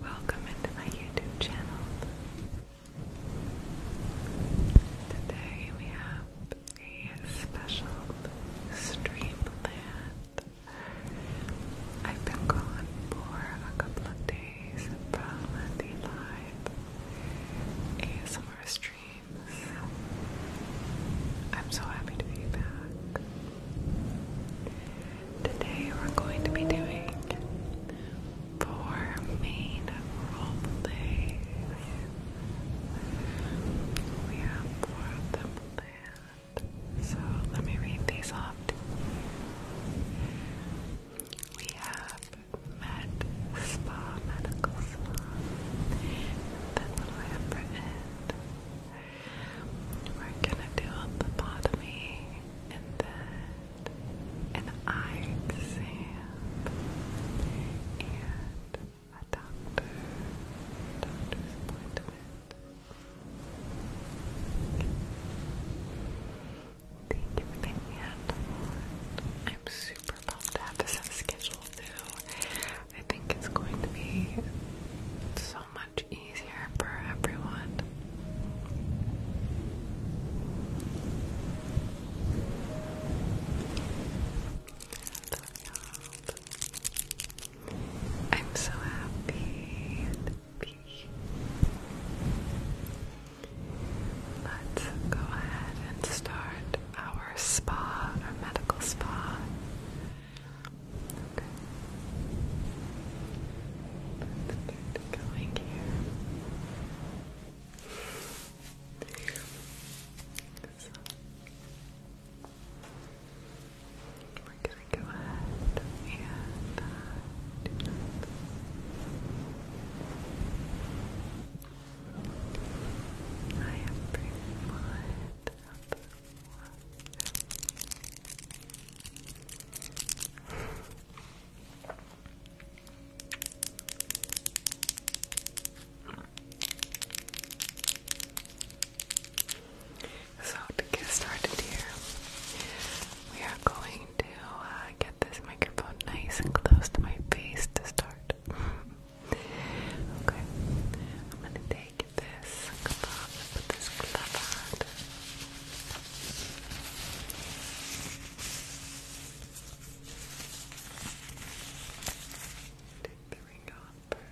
Welcome into my YouTube channel. Today we have a special stream I've been gone for a couple of days from the live ASMR stream I'm so happy to be back. Today we're going to be doing four main role plays. We have four of them So let me read these off We have Med Spa Medical Spa. That's what I have we're gonna do a lobotomy and then an eye exam and a doctor doctor's appointment. Thank you for I'm super pumped to have this on schedule too. I think it's going to be so much easier for everyone. I'm so happy to be here. Let's go ahead and start our spa, our medical spa Okay. Let's get going here. we're gonna go ahead and uh, do that. I am pretty much up so to get started here, we are going to uh, get this microphone nice and close to my face to start. Okay, I'm gonna take this glove put this glove on. Take the ring off first.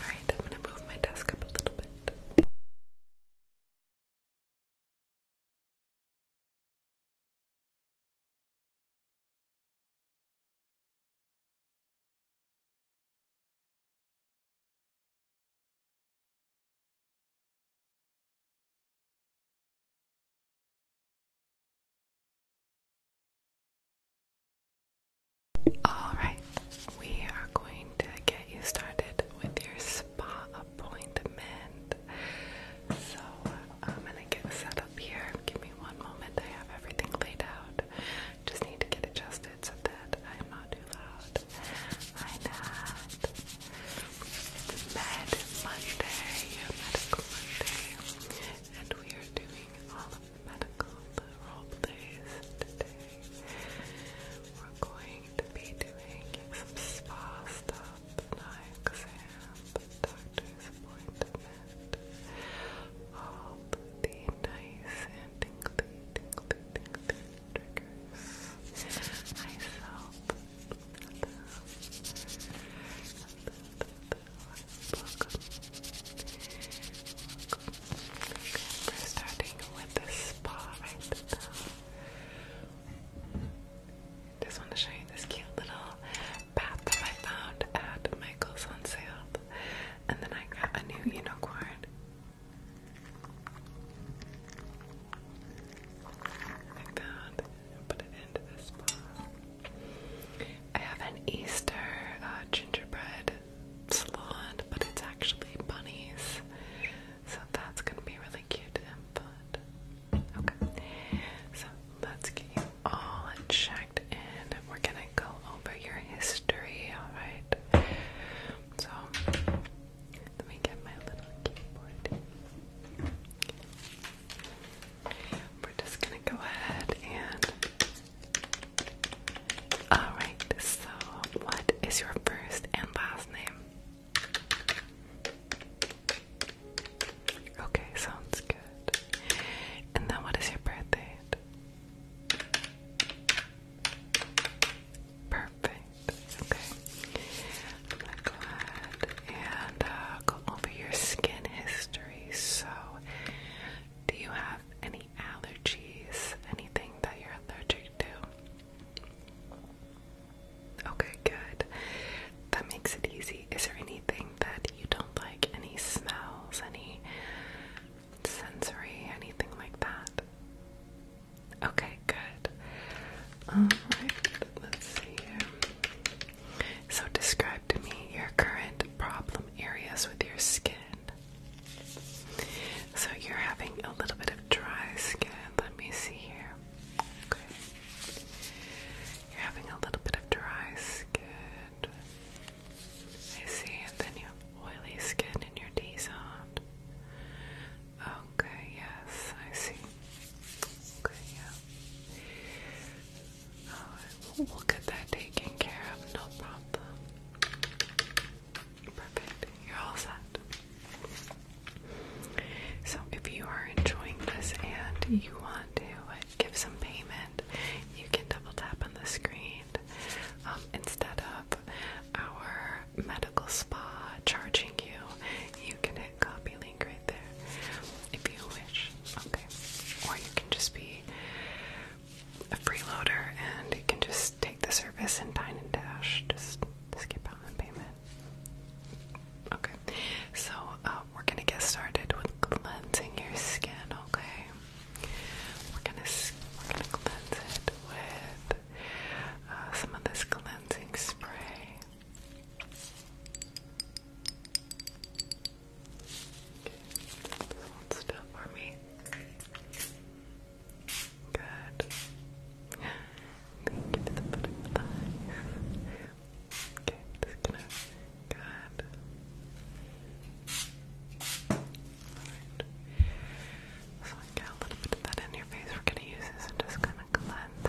Alright, I'm gonna move my desk up a little bit. Alright, we are going to get you started with your spa appointment. So I'm gonna get set up here. Give me one moment. I have everything laid out. Just need to get adjusted so that I'm not too loud. I'm it's Med Monday, Medical Monday, and we are doing all of the medical role plays today. We're going to be doing some spa stuff, eye exam, doctor's appointment, all the nice and tingly, tingly, tingly triggers. I we're starting with this spa right now. Just want to show you this cute little bath that I found at Michael's on sale. And then I got a new unicorn. I found put it into this bottle. I have an Easter uh, gingerbread salon, but it's actually bunnies. So that's gonna be really cute and fun. Okay, so let's get you all checked and We're gonna go over your history, alright? So, let me get my little keyboard. We're just gonna go ahead and. Alright, so what is your first and last name? Okay, sounds good. And then what is your birth Perfect. Okay. And uh, go over your skin history. So, do you have any allergies? Anything that you're allergic to? Okay, good. That makes it easy. Is there anything that you don't like? Any smells? Any sensory? Anything like that? Okay, good. Alright, let's see here. So, describe to me your current problem areas with your skin. So, you're having a little bit of dry skin. Let me see here. Okay. You're having a little bit of dry skin. I see, and then you have oily skin in your D zone. Okay, yes, I see. Okay, yeah. Oh, we'll, get that taken care of, no problem. Perfect, you're all set. So, if you are enjoying this and you want to give some payment, you can double tap on the screen. Um, instead of our medical spa charging you, you can copy link right there, if you wish. Okay. Or you can just be a freeloader and you can just take the service and dine and dash. Just skip out on payment. Okay, so uh, we're gonna get started with cleansing your skin. Okay, we're gonna we're gonna cleanse it with uh, some of this cleansing spray. Just hold still for me. Good. Thank you for the butterflies. Okay, just gonna. Good. Alright. So I got a little bit of that in your face. We're gonna use this and just kind of cleanse it.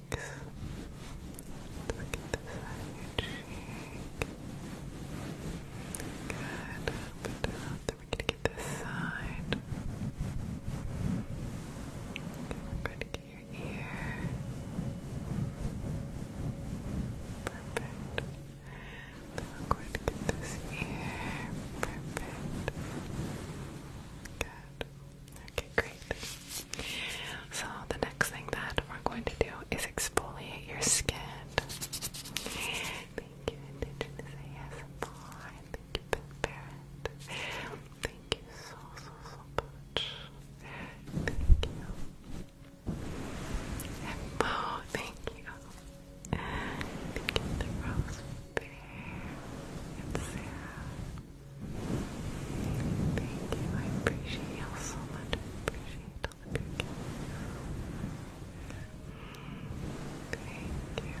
cheeks. Let's get this side Good. we're gonna get this side. we're gonna get your ear. Perfect. we're going to get this ear. Perfect. Good. Okay, great. So the next thing that we're going to do is exfoliate your skin. Thank you, Indigenous ASMR. Thank you, Parent. Thank you so, so, so much. Thank you. And thank you. Thank you, the Rose Bear. And Sarah. Thank you, I appreciate y'all so much. appreciate all the Thank you. Okay.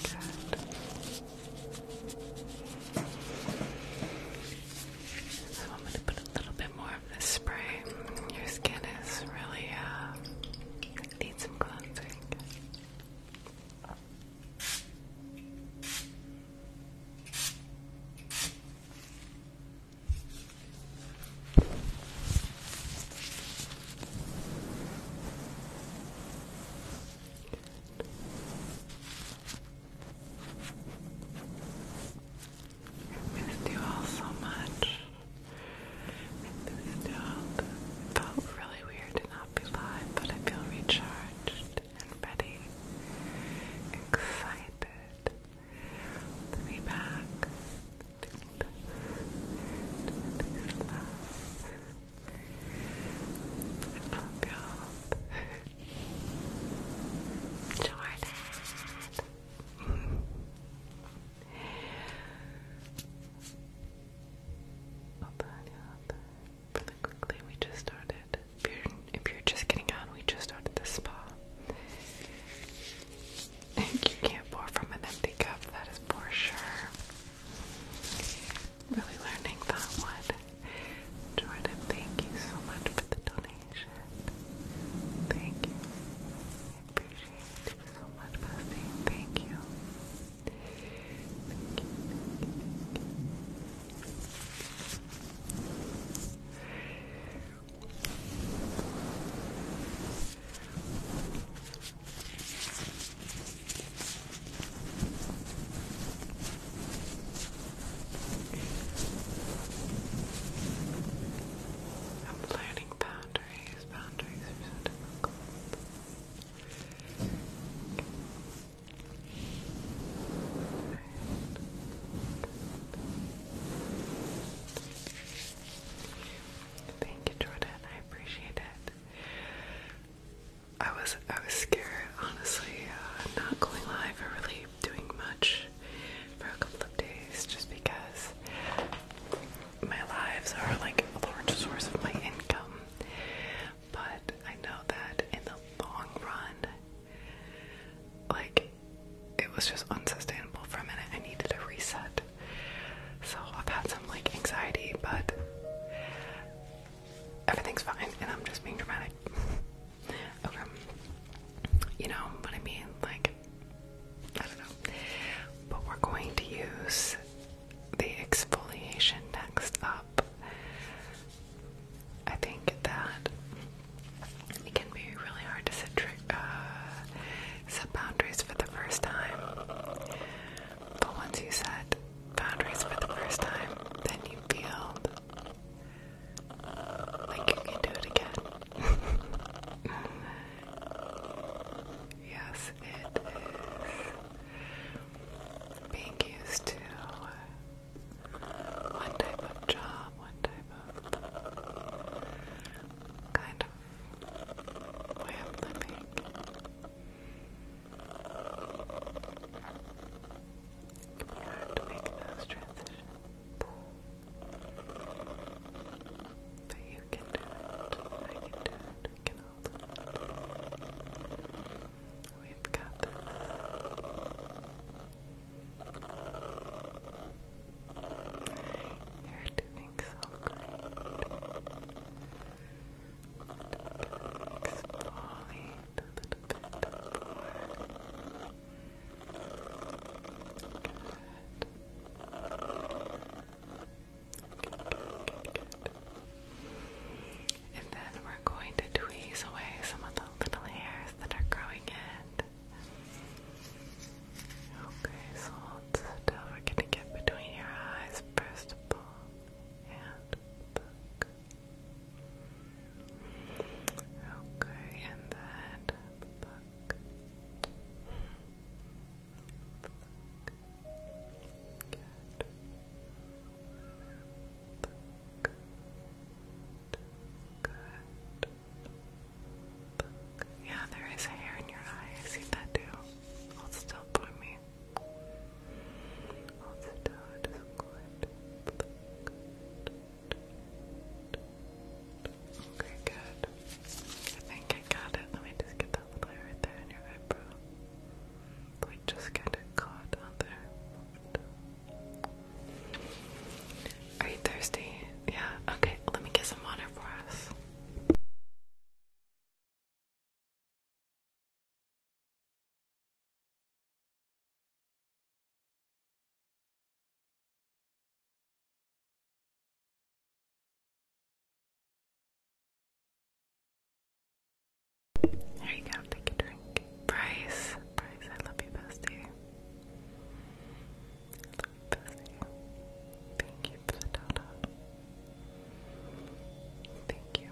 So I'm going to put a little bit more of this spray. Your skin is really uh, needs some cleansing. I missed you all so much. missed you all. felt really weird occupied, but I feel recharged and ready, excited to be back. I love you Jordan. Really quickly, we just started. If you're, just getting on, we just started the spa. you can't pour from an empty cup, that is for sure. Really learning that one. Jordan, thank you so much for the donation. Thank you. I appreciate it so much, Bessie. Thank you. I'm learning boundaries. Boundaries are so difficult. Thank you, Jordan. I appreciate it. I was I was scared, honestly, uh, not going live or really doing much for a couple of days, just because my lives are like a large source of my income. But I know that in the long run, like, it was just unsustainable for a minute. I needed a reset. So I've had some, like, anxiety, but everything's fine, and I'm just being dramatic. okay. You know But I mean? Like, I don't know. But we're going to use the exfoliation next up. I think that it can be really hard to set, uh, set boundaries for the first time. But once you set boundaries for the first time, then you feel like you can do it again. yes, it is being used to one type of job, one type of kind of way of living. We have to make those transitions. But you can do it. I can do it. We can do it. We've got You're doing so great. Exfoliate a little bit more. Good. And then we're going to tweeze away some of the little hairs that are growing in. Okay, so hold still. We're going to get between your eyes first And Okay, and then yeah, there is hair in your eye. I see that too. Hold still for me. Okay, good. I think I got it. Let me just get right there in your eyebrow. Like just get it caught on there. Are you thirsty? Yeah, okay, let me get some water for us. There you go, take a drink. Bryce, Bryce, I love you, bestie. I love you, Thank you for the data. Thank you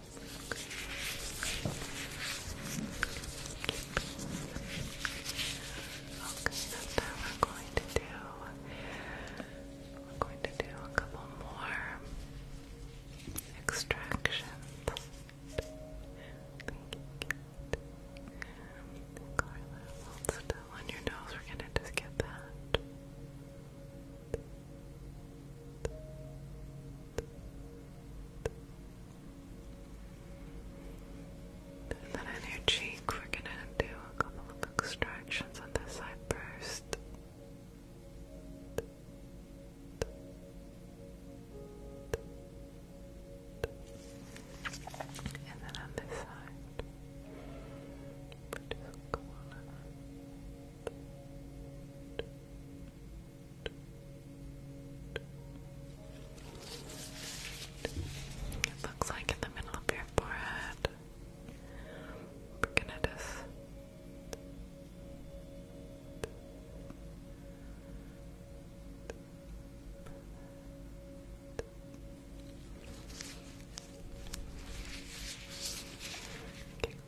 now we're going to do we're going to do a couple more extractions. Carla, still on your nose. We're gonna just get that. And then on your cheek, we're gonna do a couple of extractions on this side first. And then on this side, we just go on and it looks like in the middle of your forehead. We're going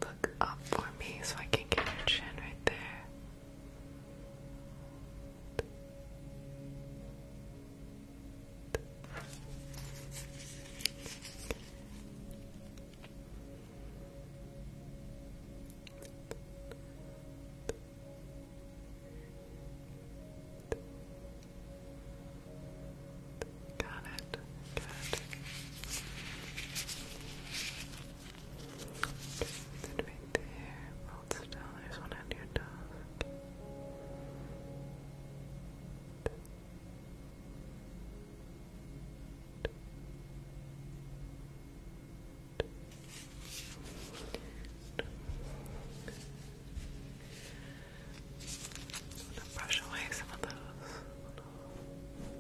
look up for me so I can get your chin right there. Got it. Good. Just sit right there. Hold under your toes. brush away some of those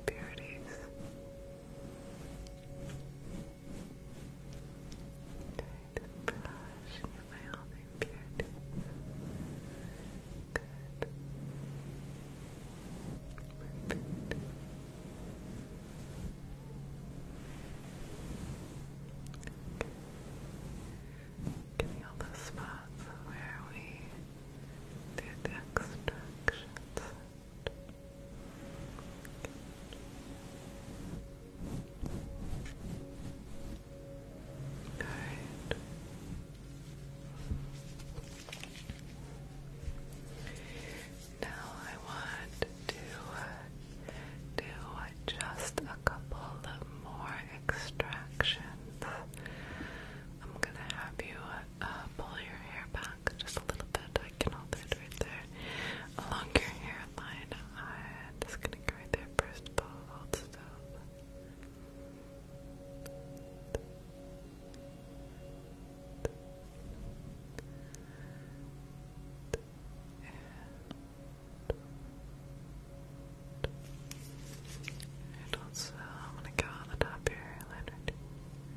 beauties. Trying brush away all the impurities. Good. Perfect. all the spots where we through the extraction set. Now I want to do just a couple more extractions. I'm gonna have you uh, pull your hair back just a little bit. I can hold it right there along your hairline. I'm just gonna go right there first of Hold still. And I'm gonna go on the top of your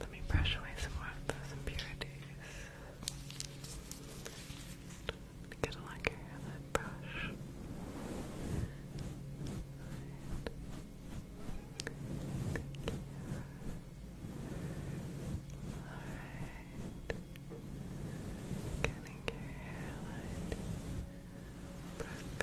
Let me brush away some more of those impurities. Get a look here Alright. Getting your hairline. Perfect.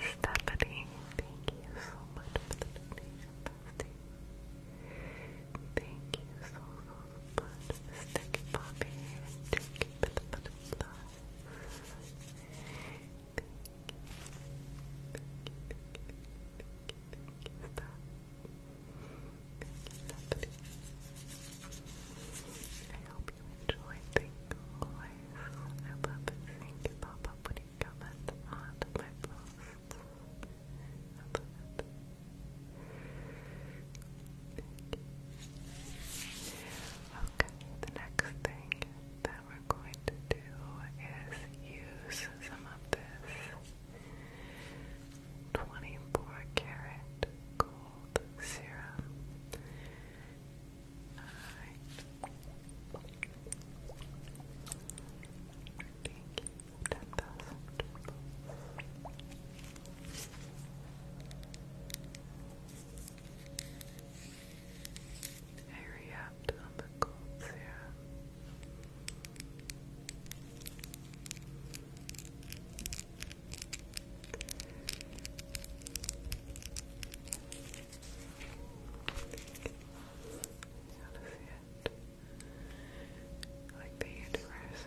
Stephanie, thank you so much for the donation, Thank you so, so much, Sticky Poppy, and Thank you, thank you, thank you, thank you, thank you, thank you, Lovely. I hope you enjoy Thankful Life. I love it seeing you pop up on my posts. Okay, the next thing that we're going to do is use some of this 24 karat gold serum. Thank you. 10,000 I re on the gold serum. Like the universe.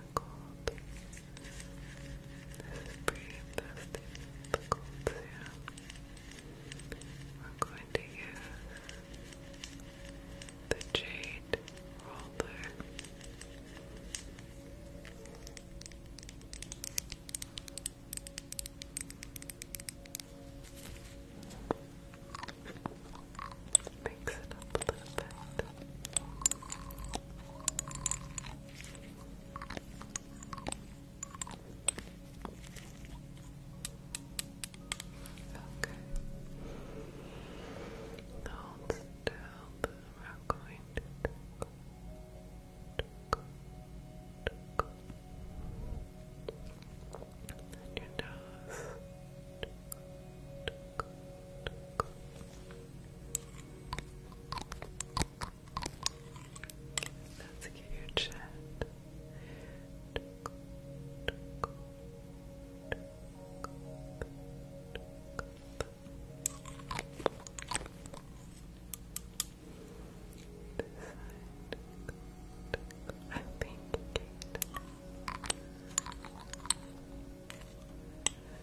cold. This is pretty interesting, We're going to use the jade roller mix it up a little bit. Okay. Hold still. We're going to your nose. Let's I think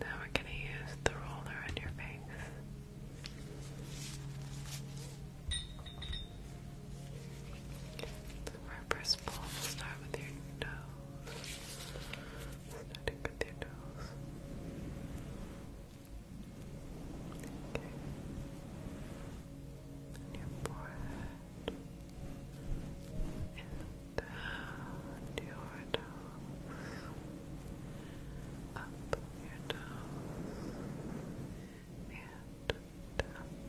Now we're going to use the roller on your face. So pull, start with your nose. Starting with your nose. Okay. And your forehead and down your toes, up your toes, and down. Good. Good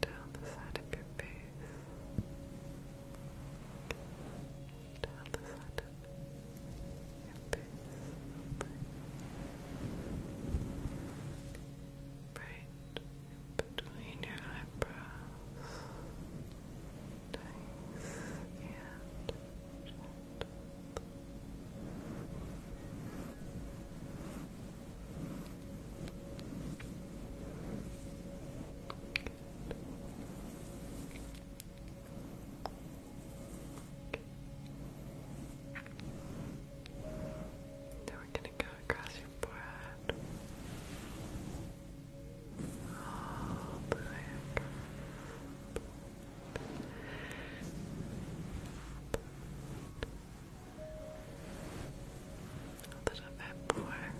down the side of your face, down the side of your face, right between your eyebrows, and now we're going to go across your forehead. All the a little bit more. Okay. Alright,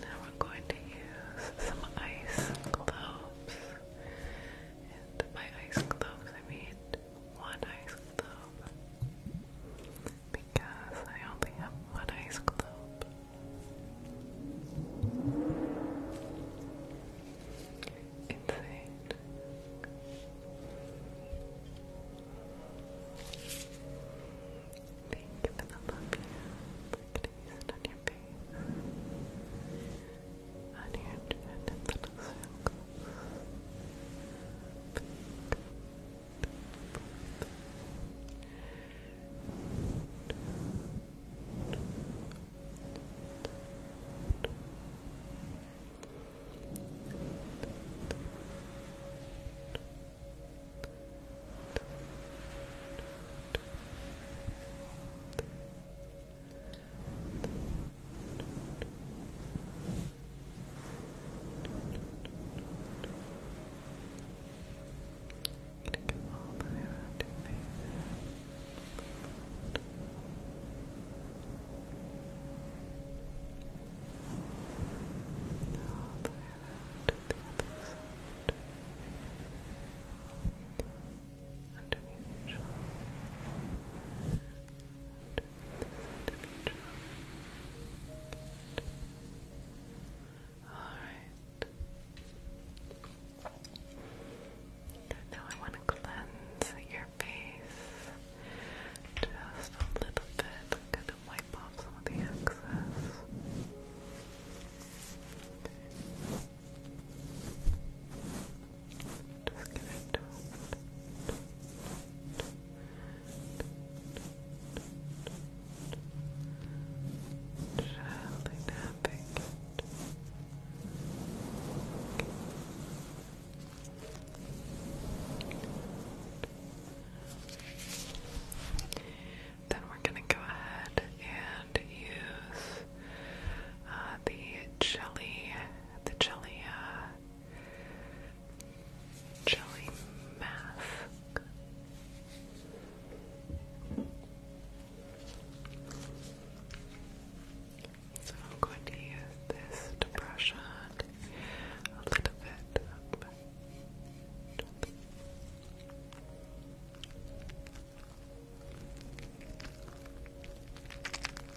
Now we're going to use some ice globes and by ice gloves, I mean one ice glove. Because I only have one ice globe. Insane. Thank you for the love you. Look at it on your face and you're doing in little all the way around your face. All the way around to the other side. Underneath Alright. Now I want to cleanse your face just a little bit. i wipe off some of the excess. Just gonna tap, tap, tap, Then we're going to go ahead and use uh, the jelly the jelly, uh, jelly mask. So I'm going to use this to brush on a little bit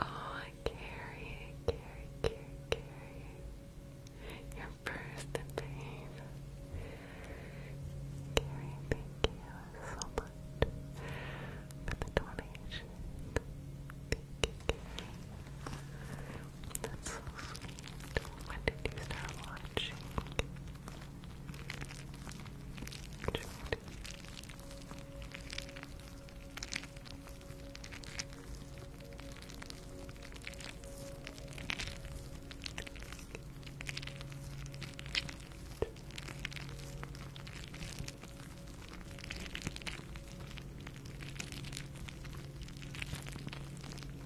Oh, Carrie, Carrie, Carrie, Carrie. Your first babe. Carrie, thank you so much for the donation. Thank you, Carrie. That's so sweet. When did you start watching? Jude.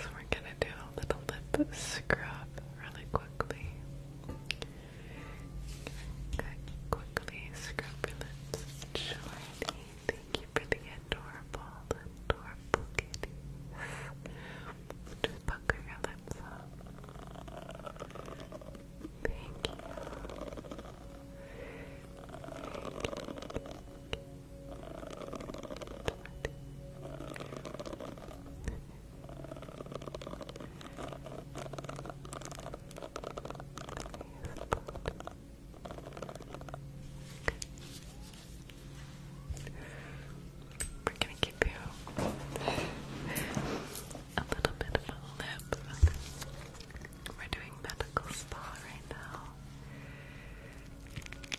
So we're gonna do a little lip scrub really quickly. quickly scrub your thank you for the adorable, adorable kitties. Just pucker your lips up. Thank you. We're gonna give you a little bit of a lip. We're doing medical spa right now.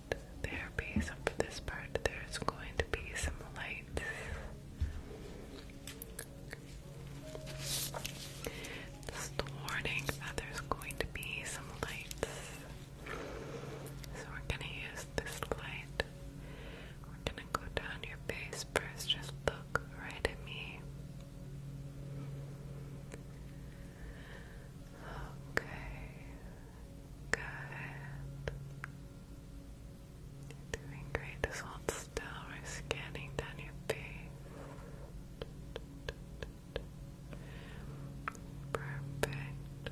light therapy. So for this part, there's going to be some lights. Just warning that there's going to be some lights. So we're gonna use this light. We're gonna go down your face first. Just look right at me. Okay. Good. You're doing great. Just hold still. We're scanning down your face. Perfect.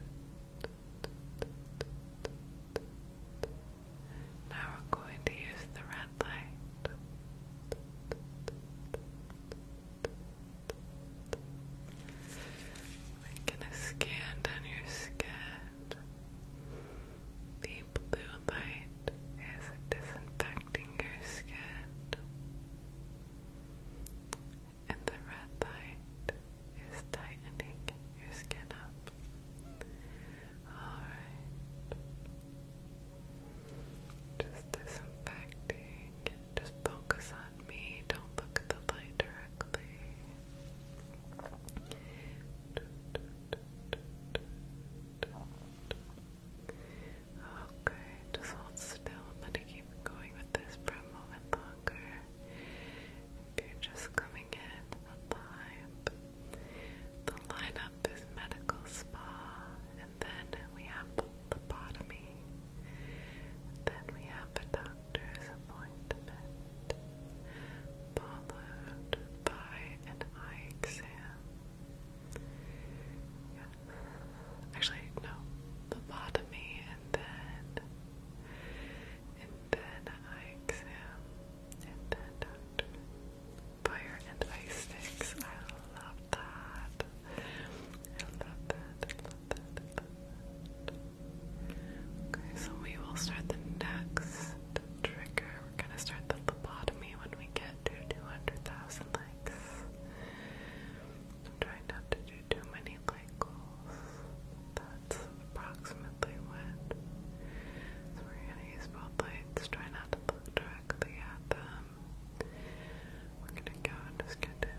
Now we're going to use the red light. We're gonna scan down your skin that the blue light is disinfecting your skin, and the red light is tightening your skin up. Alright. Just disinfecting. Just focus on me. Don't look at the light directly. Okay, just hold still. I'm keep going with this for a moment longer. If you're just coming in the live, the lineup is medical spa, and then we have the and then we have a doctor's appointment, followed by an eye exam. Actually, no, lobotomy and then and then eye exam and then Fire and ice sticks. I love that. Okay, so we will start the next trigger. We're gonna start the lobotomy when we get to 200,000 likes. I'm trying not to do too many like That's approximately what. So we're gonna use both lights. Try not to look directly at them. We're gonna go and just get it.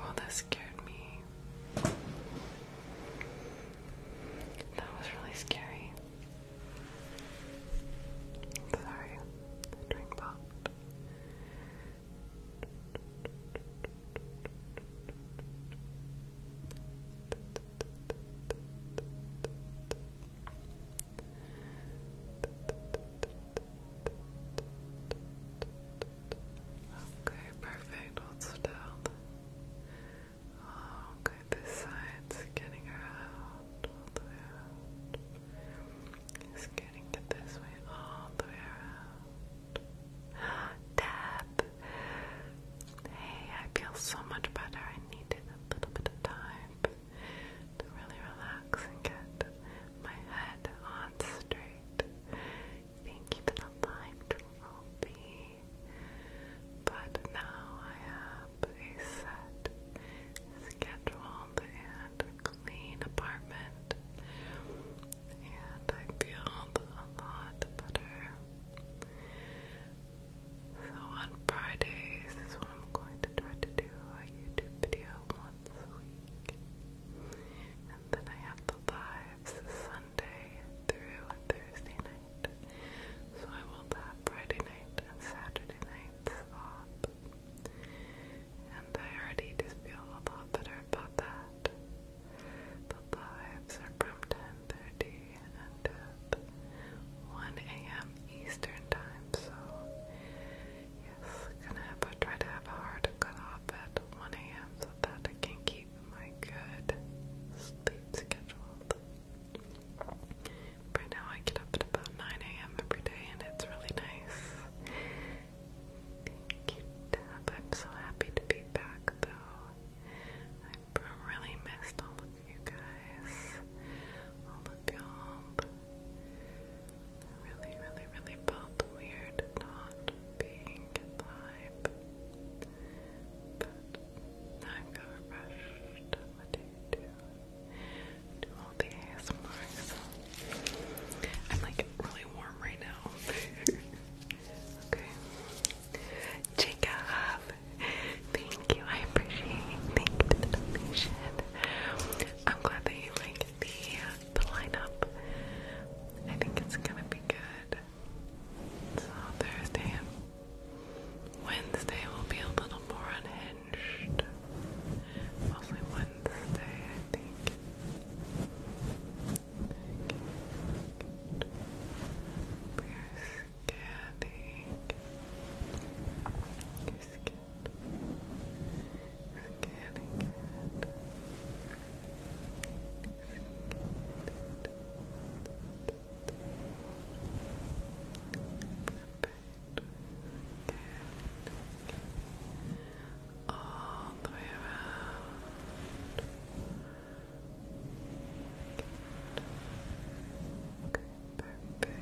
Oh, that scared me. That was really scary. Sorry, the drink popped. Okay, perfect. Hold still. Okay, this side's getting around It's getting to this way all the way around. Tap. Hey, I feel so much better. I needed a little bit of time to really relax and get my head on straight. Thank you for the live, Trophy but now I have a set, scheduled, and clean apartment, and I feel a lot better. So on Fridays is when I'm going to try to do a YouTube video once a week. And then I have the lives Monday through Thursday night. So I will have Friday night and Saturday nights off. And I already just feel a lot better about that. The lives are from 10.30 until 1 a.m. Eastern time, so yes, gonna try to have a hard cut at 1 a.m. so that I can keep my good sleep scheduled. Right now, I get up at about 9 a.m. every day, and it's really nice. Thank you, I'm so happy to be back, though. I really missed all of you guys, all of y'all. Really, really, really felt weird not being live, but I'm covered What do you do? Do all the ASMR. I'm like really warm right now. okay. Jacob, thank you. I appreciate the donation. I'm glad that you like the the lineup. I think it's gonna be good. So Thursday Wednesday will be a little more unhinged. Mostly Wednesday, I think. We're scanning. You're Good. All the way around. perfect.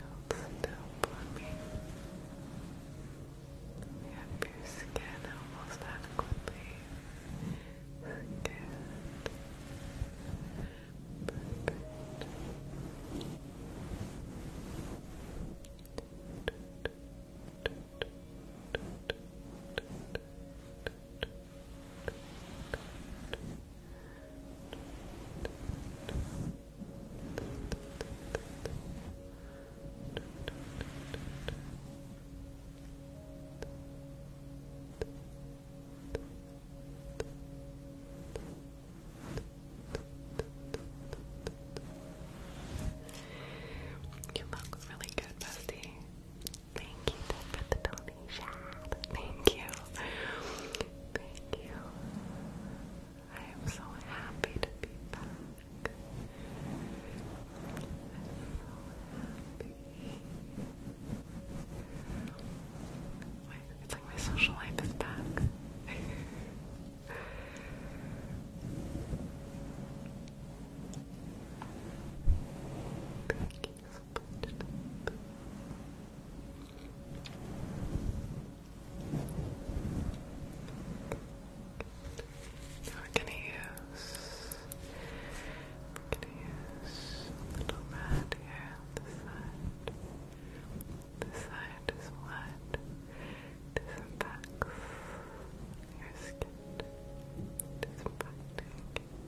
Hold still for me. You have your skin almost adequately skinned. You look really good, Bestie. Thank you for the donation. Thank you. Thank you. I am so happy to be back. I'm so happy. My, it's like my social life is back. Thank you so now we're gonna use we're gonna use a little mat here on this side. This side is what disinfects Disinfecting.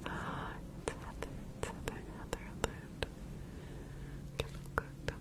Ah, it's Heather, it's Heather, Heather Alert. Chemical cocktail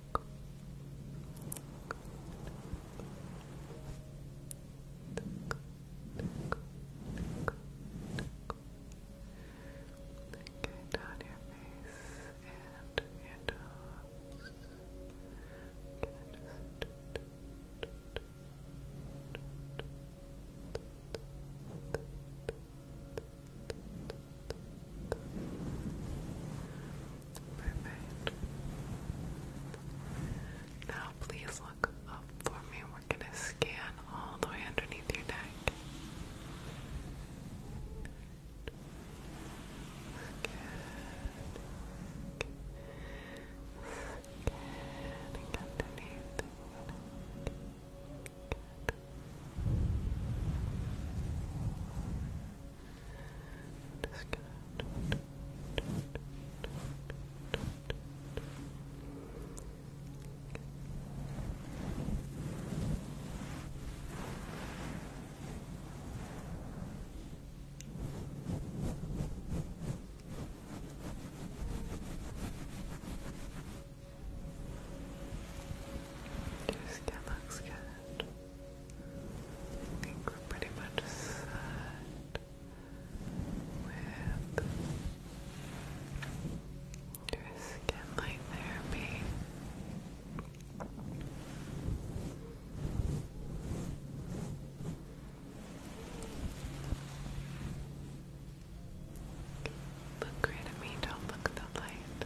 Get on your face and your toes. Just Good. Perfect. Now, please look up for me. We're going to scan all the way underneath your neck. underneath. Just going Your skin looks Good. I think we're pretty much set with your skin light therapy. Look right at me, don't look at the light.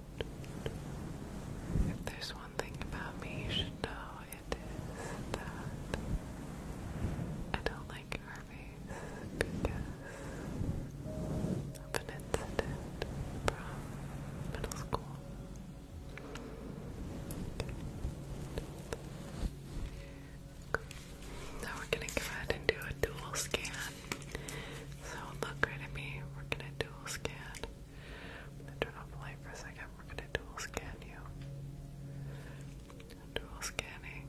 If there's one thing about me you should know, it is that I don't like Hermes because of an incident from middle school. Now we're gonna go ahead and do a dual scan. So look right at me. We're gonna dual scan I'm gonna turn off the light for a second. We're gonna dual scan you. Dual scanning.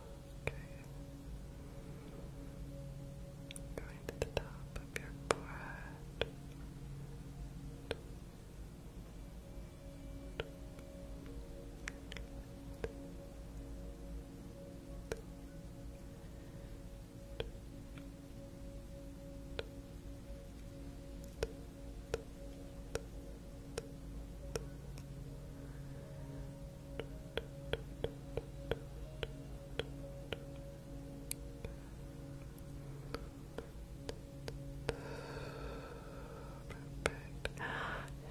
Okay. Going to the top of your forehead.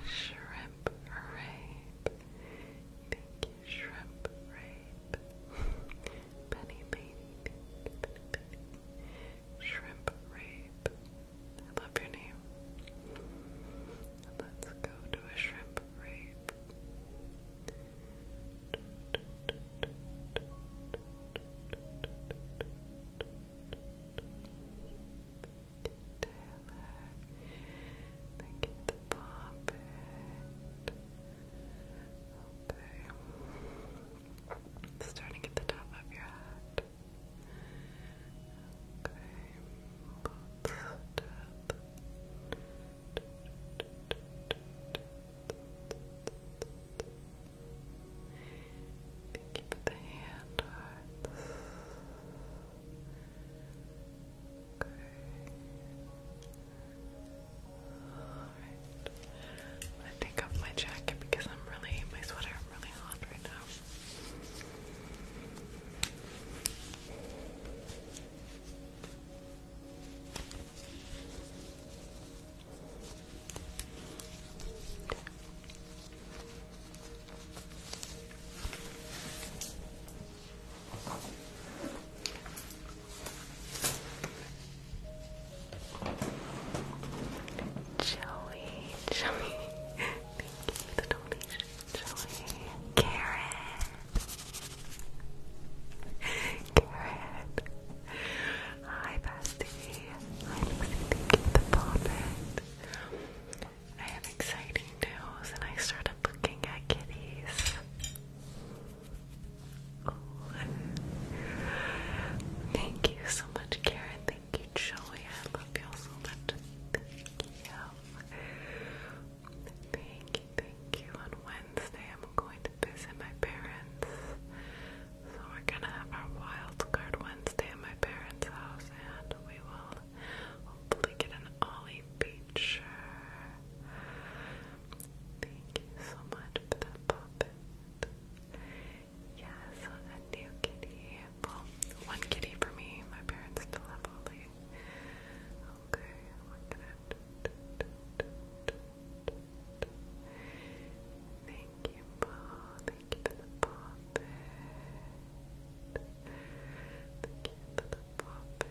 Shrimp rape. shrimp rape. penny, penny. Shrimp rape. I love your name. Let's go to a shrimp rape. Taylor, thank you to pop it. Starting at the top of your head. Thank you the hand hearts. Okay. Alright. I'm gonna take off my jacket because I'm really my sweater really hot right now. Joey, Joey, thank you for the donation actually. Karen. Karen. Hi, bestie. Hi, Lucy. Thank you the comment. I have exciting news, and I started looking at kitties. Thank you so much, Karen. Thank you, Joey. I love you so much. Thank you. Thank you, On Wednesday, I'm going to visit my parents. So we're gonna have our wild card Wednesday at my parents' house, and we will hopefully get an Ollie feature. Thank you so much for that puppet. Yes, a new kitty. Well, one kitty for me. My parents still have all day. Okay, Thank you, Paul. Thank you for the puppet. Thank you for Okay,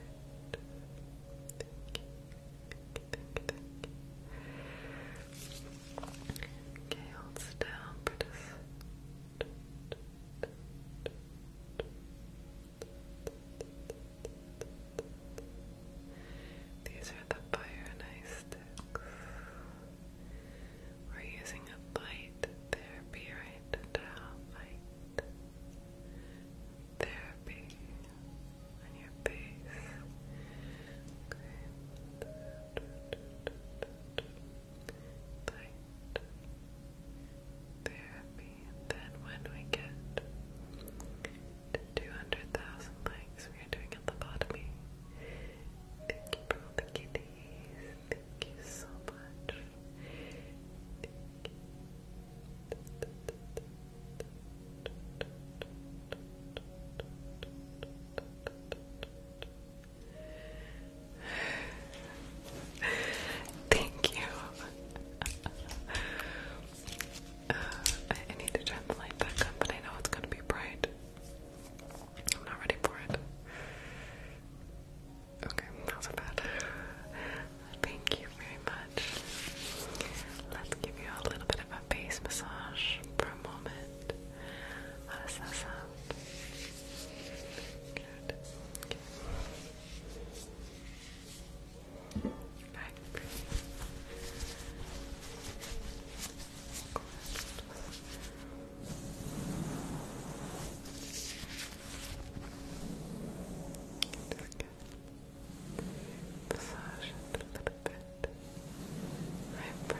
hold still for these are the fire sticks. We're using a light therapy right now. Light therapy on your face light then when we get to 200,000 likes, we are doing a lobotomy. Thank you for all Thank you so much. Thank you. Thank you. Uh, I need to turn the light back up, but I know it's gonna be bright. I'm not ready for it. Okay, that bad. Thank you very much. Let's give you a little bit of a face massage for a moment. How that sound? Good. Back. Massage it a little bit. Eyebrow.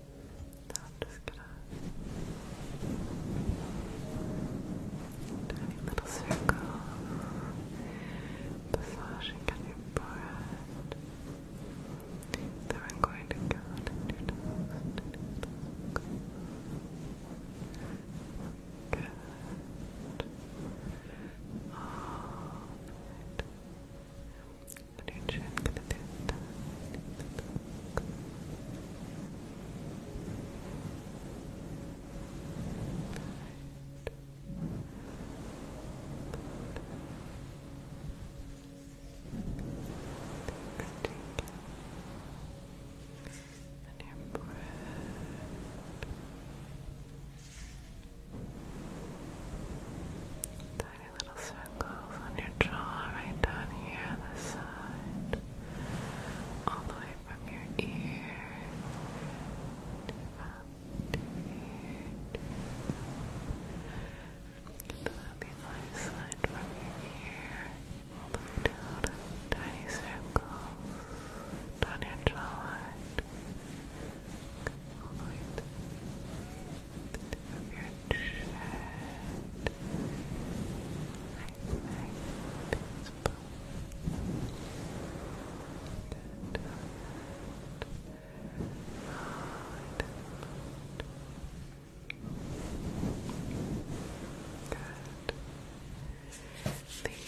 So I'm just gonna tiny little circle massaging on your forehead. Then I'm going to go to your Good. All right. And your chin, to do that. And your breath. Tired tiny little circles on your jaw, right down here on the side, all the way from your ear to about ear. To the other side from your ear, all the way down tiny circles down your jawline. All the way Thank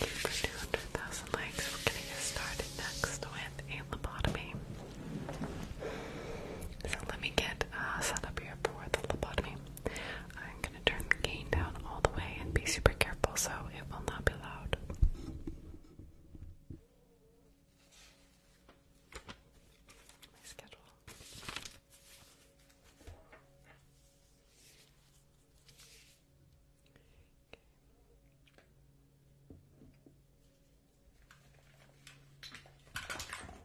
you for 200,000 likes. We're going to get started next with a lobotomy. So let me get uh, set up here for the lobotomy. I'm gonna turn the gain down all the way and be super careful so it will not be loud.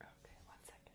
Okay, one second.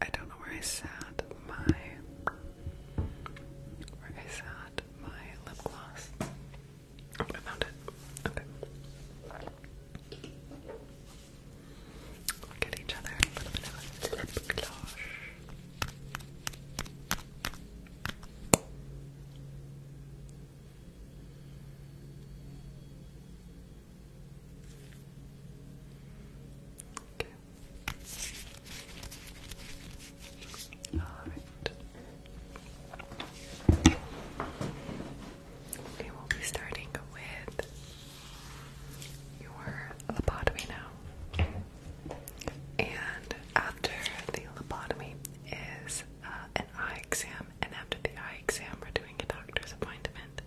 I don't know where I sat my where I sat my lip gloss. Oh, I found it. Look at each other lip gloss. Okay. All right. Okay, we'll be starting with your lobotomy now. And after the lobotomy is uh, an eye exam and after the eye exam, we're doing a doctor's appointment.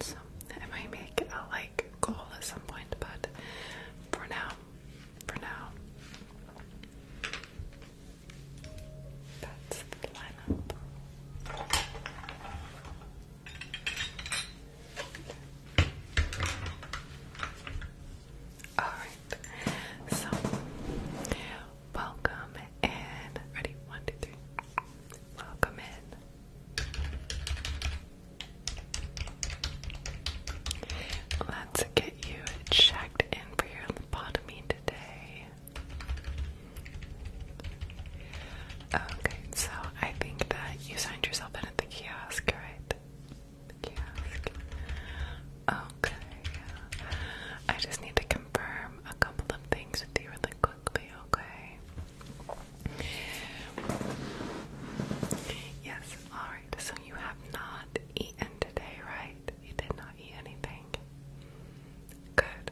So I might make a like goal at some point, but for now, for now, that's the lineup. Alright, so welcome in. Ready? One, two, three. Welcome in. Let's get you checked in for your lobotomy today. Okay, so I think that you signed yourself in at the kiosk, right? The kiosk. Oh, Okay. I just need to confirm a couple of things with you really quickly, okay? Yes, alright. So you have not eaten today, right? You did not eat anything. Good.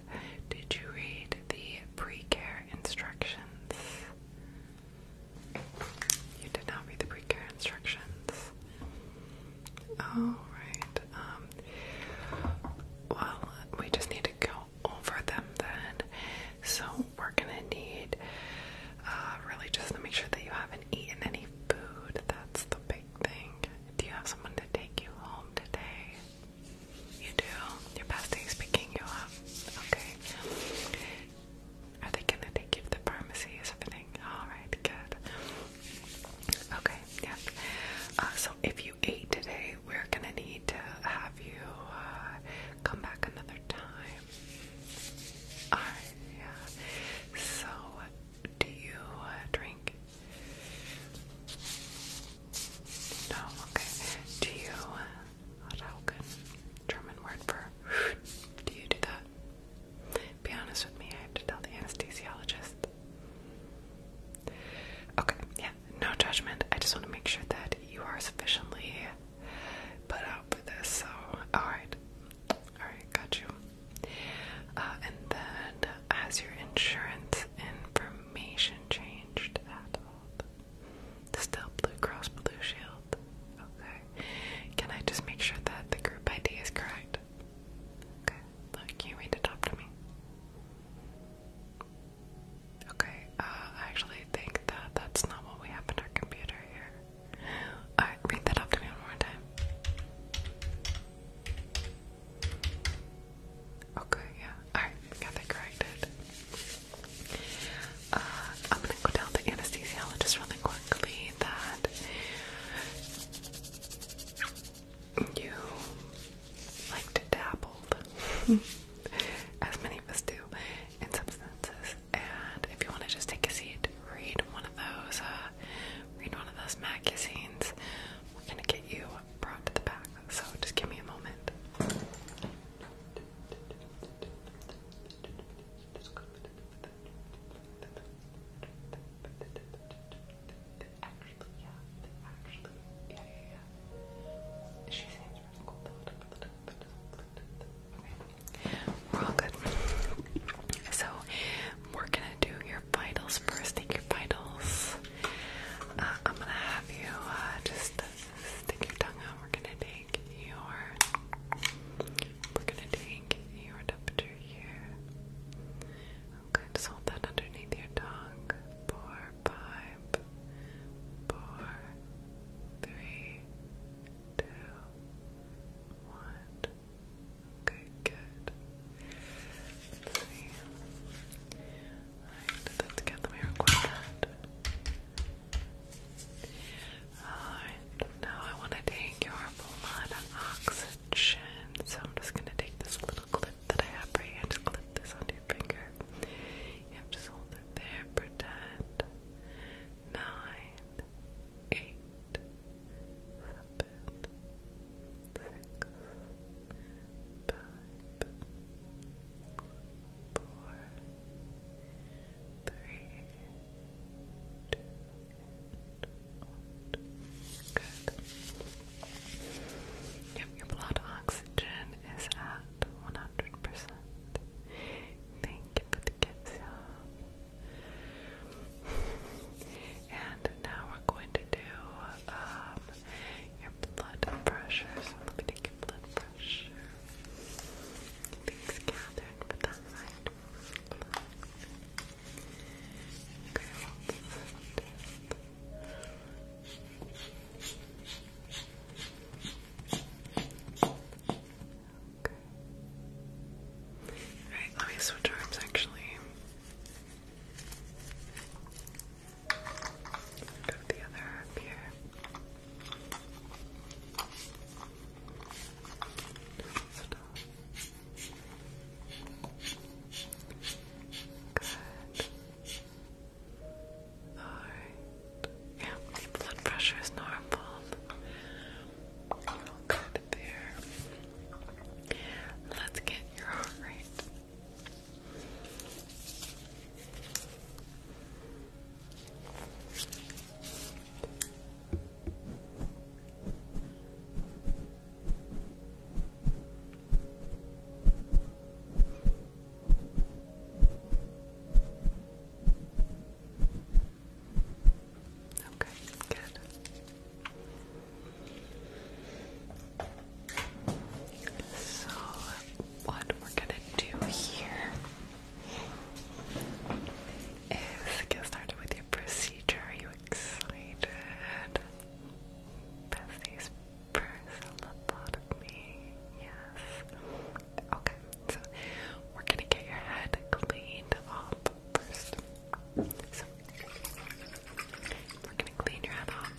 Did you read the pre care instructions? You did not read the pre care instructions. All right. Um, well, we just need to go over them then. So we're gonna need uh, really just to make sure that you haven't eaten any food. That's the big thing. Do you have someone to take you home today? You do. Your is picking you up. Okay. Are they gonna take you to the pharmacy? Is everything all right? Good. Okay, yeah. Uh, so if you ate today, we're gonna need to have you uh, come back another time. Alright, yeah. So, do you uh, drink? No, okay. Do you, uh, Rauken, German word for, do you do that? Be honest with me, I have to tell the anesthesiologist. Okay, yeah, no judgment. I just want to make sure that you are sufficiently put out for this. So, alright. Alright, got you. Uh, and then, has your insurance information changed at all? Still Blue Cross Blue Shield. Okay. Can I just make sure that the group ID is correct? Okay, look, you read it up to me. Okay, uh, I actually think that that's not what we have in our computer here. Alright, read that up to me one more time. Okay, yeah, alright, got that corrected. Uh, I'm gonna go tell the anesthesiologist really quickly that you like to dabble, as many of us do, in substances. And if you want to just take a seat, read one of those, uh, read one of those magazines. We're gonna get you brought the back. So just give me a moment actually, yeah, actually, we're all good. So, we're gonna do your vitals first. Take your vitals. Uh, I'm gonna have you uh, just stick your tongue out. We're gonna take your. We're gonna take your temperature here. Okay, just hold that underneath your tongue. Four, five, four, three, two, one. Okay, good. Let's see. Alright, that's Let me record that. Alright, now I want to take your blood oxygen, so I'm just going to take this clip that I have for you. Just clip this onto your finger. You have to hold it there for ten, nine, eight, seven, six, five, four, three, two, one. Good your blood oxygen is at 100%. Thank you for the gifts, And now we're going to do um, your blood pressure. So let me take your blood pressure. Things gathered for that right. Okay, well, Alright, let me switch arms actually. Go the other up here. Stop. Good. Alright. Yeah, the blood pressure is normal. good there. Let's get your heart rate. Okay, good. So, what we're gonna do here is get started with your procedure. you excited? Pass first thought of me. Yes. Okay, so we're gonna get your head cleaned off first. So we're gonna clean your head off.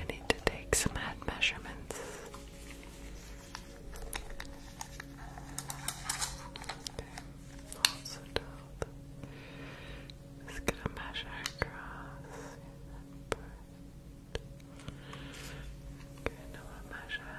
I need to take some head measurements. Okay, also top. Just gonna measure across Okay, now i measure.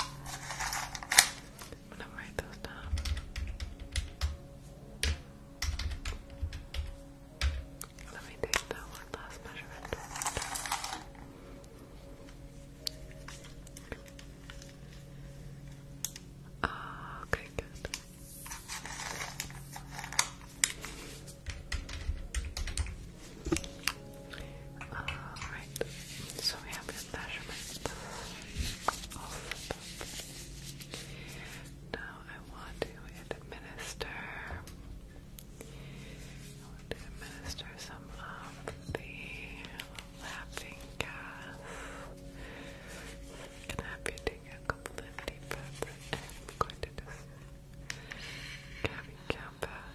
I'm gonna write those down. Let me take that one last measurement. Oh, okay, good. Alright, so we have the measurements Now I want to administer administer some of the laughing gas. I'm going a couple of deep breaths I'm going to just have you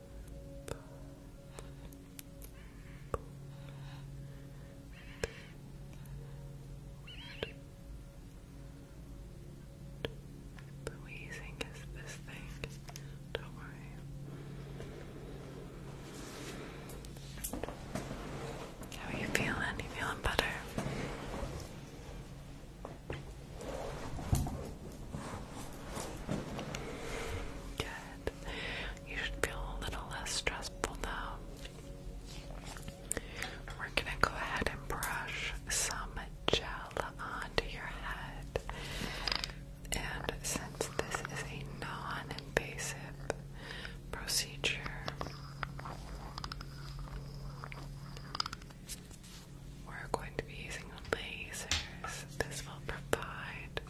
The wheezing is this thing. Don't worry. How are you feeling? You feeling better? Good. You should feel a little less stressful now. We're gonna go ahead and brush some gel onto your head. And since this is a non invasive procedure, we're going to be using lasers. This will provide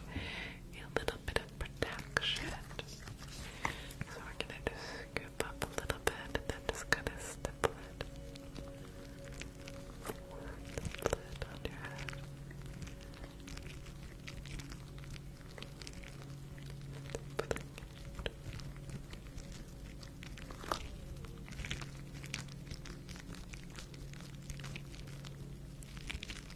a little bit of protection. So we're gonna just scoop up a little bit and then just kind of stipple it. Stipple it on your head.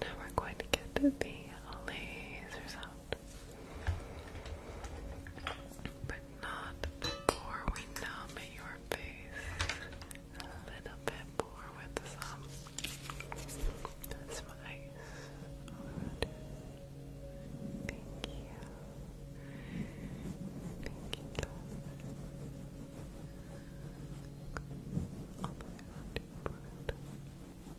Now we're going to get to the laser but not before we numb your face a little bit more with some. ice. Thank you. Thank you,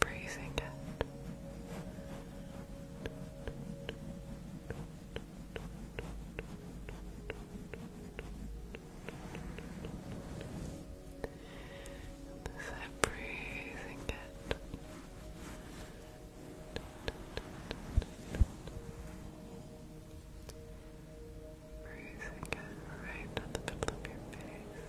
breathing it. Is that breathing it? Breathing it right at the middle of your face.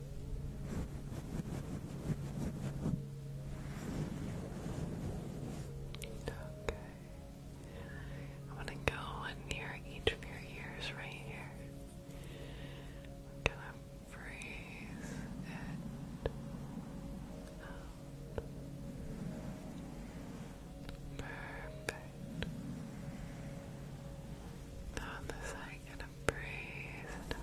Okay. I'm gonna go in near each of your ears right here. I'm gonna freeze it Perfect. Now the side, breathe it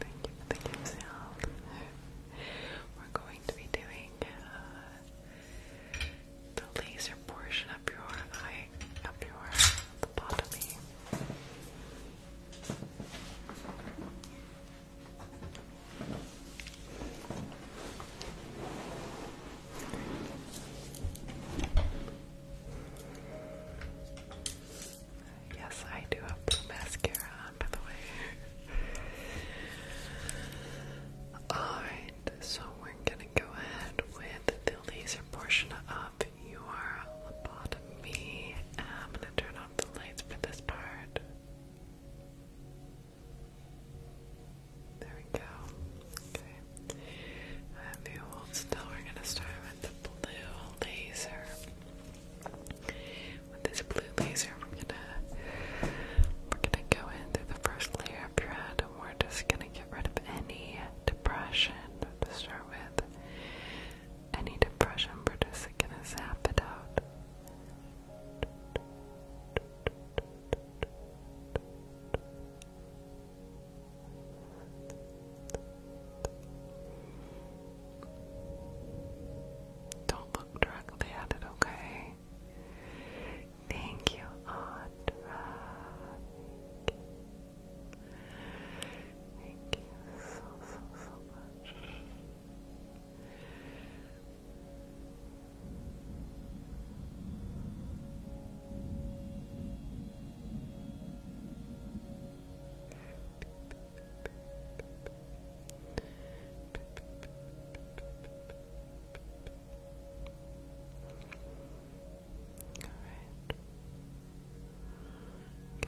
Thank you for y'all. We're going to be doing uh, the laser portion up your eye, up your lobotomy. Yes, I do have blue mascara on, by the way. Alright, so we're gonna go ahead with the laser portion of your lobotomy. I'm gonna turn off the lights for this part. There we go. Okay. Have you hold still. We're gonna start with the blue laser. With this blue laser, we're gonna we're gonna go in through the first layer of your head, and we're just gonna get rid of any depression to start with. Any depression, we're just gonna zap it out. Don't look directly at it, okay? Thank you, Audra. Thank you so, so, so much. Alright.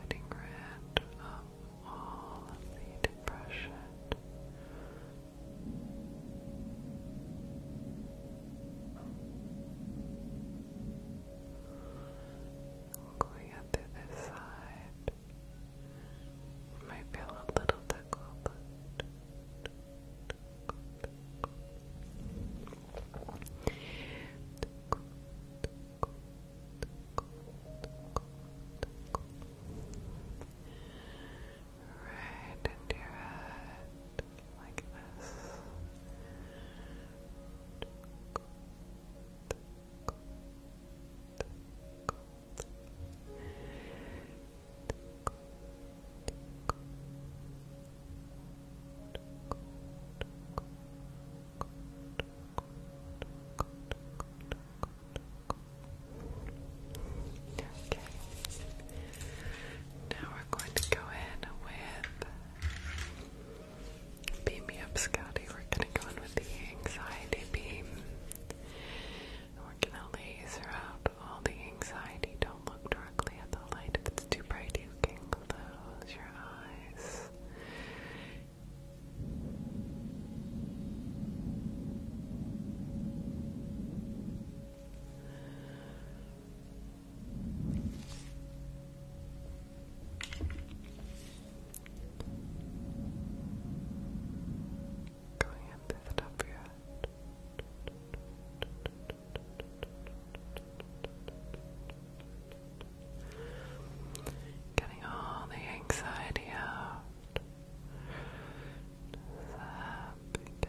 Getting rid of all the depression Going up to this side, might feel a little tickled. Tickle, right into your head like this. Okay. Now we're going to go in with Beam Me Up Scotty. We're going to go in with the anxiety beam. We're going to laser out all the anxiety. Don't look directly at the light. it's too bright, you can close your eyes. Going up through the top of your head. Getting all the anxiety out. Just happy,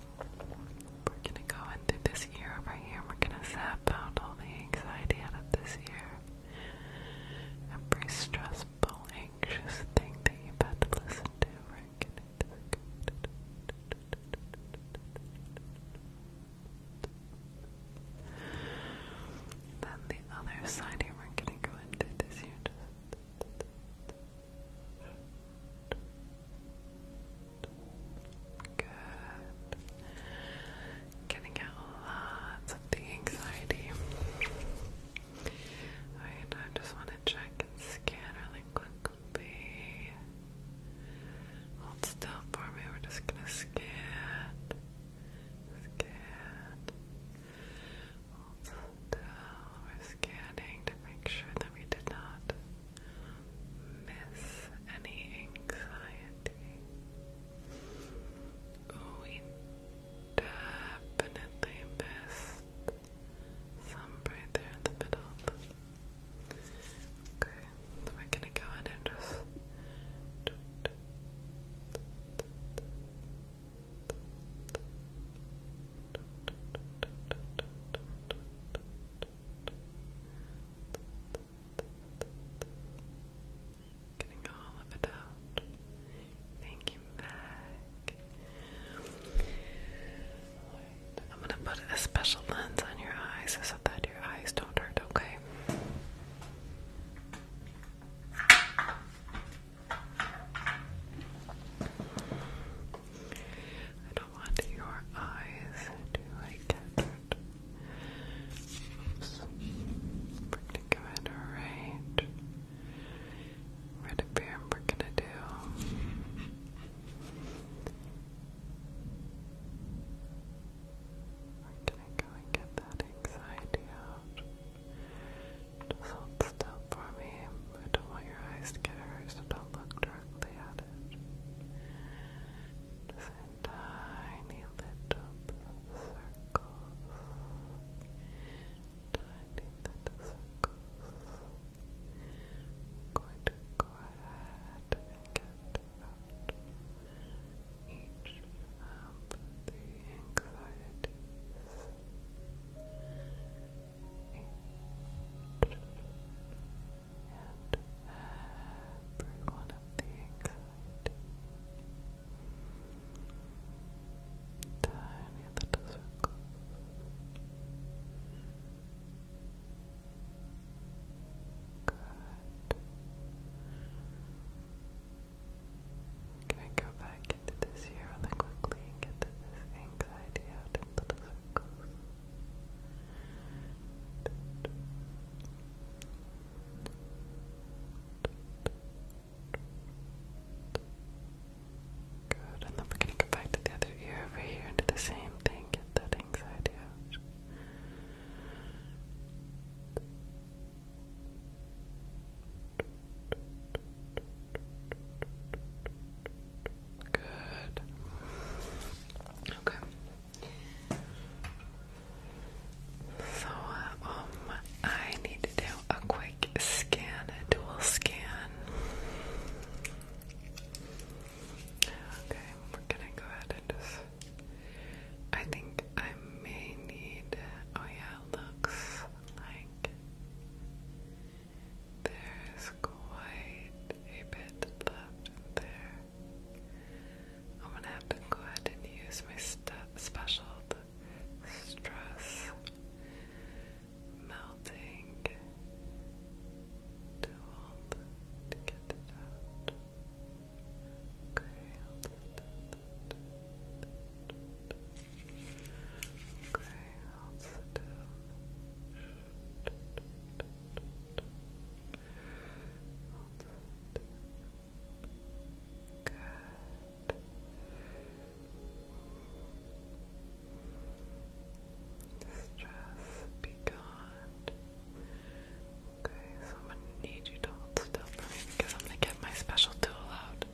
We're gonna go into this year over here. We're gonna zap out all the anxiety out of this year. pretty stressful, anxious thing that you've had to listen to, we're then the other side here, we're gonna go into this here. Just Good. Getting out lots of the anxiety. Alright, I just want to check and scan really quickly. Hold still for me, we're just gonna scan. Scan. Hold still. We're scanning to make sure that we did not miss any anxiety. Oh, we definitely missed some right there in the middle. Okay, we're gonna go ahead and just. Getting all of it out. Thank you, I'm gonna put a special lens on your eyes so that your eyes don't hurt, okay? I don't want your eyes to like we're gonna go and right. Right up here, we're gonna do. We're gonna go and get that anxiety out. Just hold still for me. I don't want your eyes to get hurt, so don't look directly at it just tiny little circles, tiny little circles. going to go ahead and get out each of the anxieties and bring one the anxiety tiny little circles. Good. Can I go back into this here really quickly get this anxiety out in little circles? circles. Good, and then we're gonna go back to the other ear over here and do the same thing, get that anxiety Good. Okay. So, um, I need to do a quick scan, a dual scan. Okay, we're gonna go ahead and just. I think I may need. Oh, yeah, looks like there's quite a bit left there. I'm gonna have to go ahead and use my special stress melting tool to get it out. Okay, Okay, I'll sit down. Stress be gone. Okay, so I'm gonna need you to hold still for me because I'm gonna get my special tool out.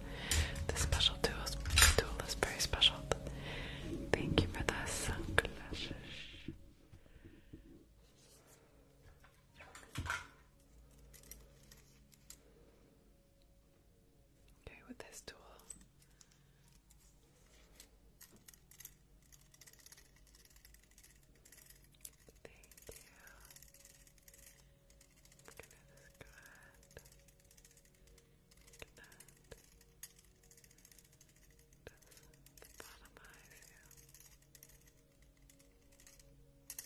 This special tool is, very special. Thank you for that Okay, with this tool. Thank you. Look at this good. Look at that. That's bottom eyes, Pancake,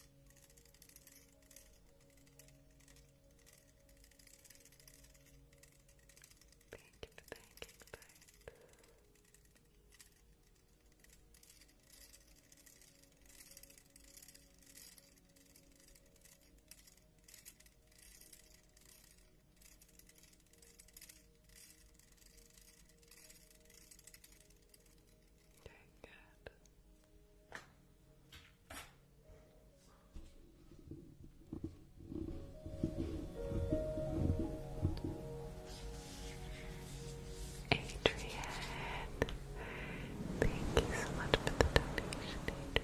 pancake, pancake. Pancake, Okay, good. Adrian, thank you so much for the donation, Thank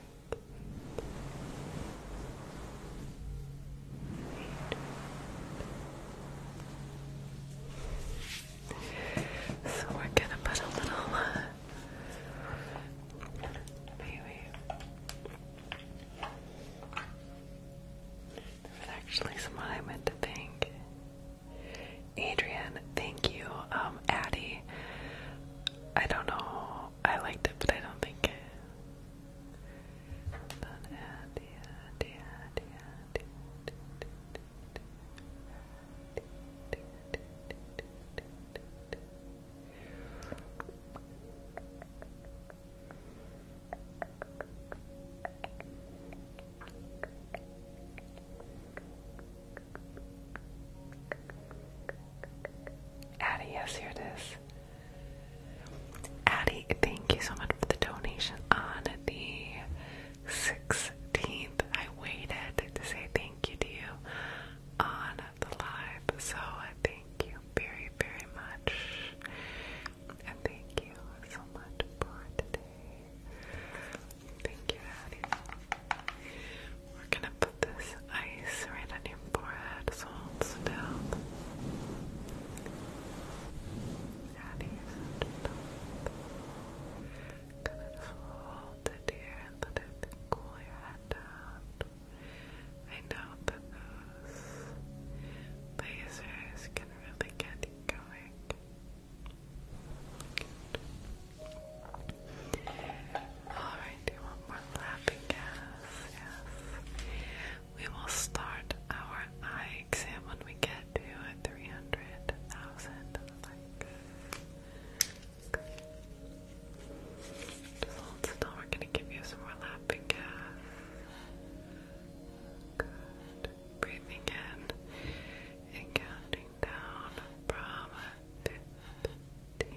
you. So we're gonna put a little uh, actually someone I meant to thank. Adrian, thank you. Um, Addie, I don't know. I liked it, but I don't think. Addie, yes, here it is. Addie, thank you so much for the donation on the 16th. I waited to say thank you to you on the live, so thank you very, very much. And thank you so much for today. Thank you, Addie. We're gonna put this ice right on your forehead, so hold still. Out of Gonna hold it here and let it cool your head down. I know that those lasers can really get you going. Alright, do you want more lapping? Yes, yes. We will start our eye exam when we get to 300,000 likes. Just hold still, we're gonna give you some more lapping gas. Good. Breathing in and counting down from 15.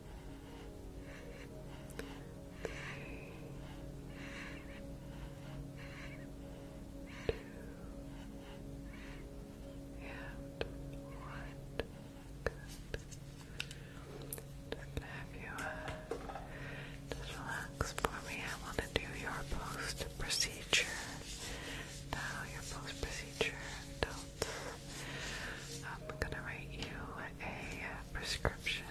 Good. Just gonna have you uh, for me. I want to do your post procedure. Now your post procedure notes. I'm gonna write you a uh, prescription.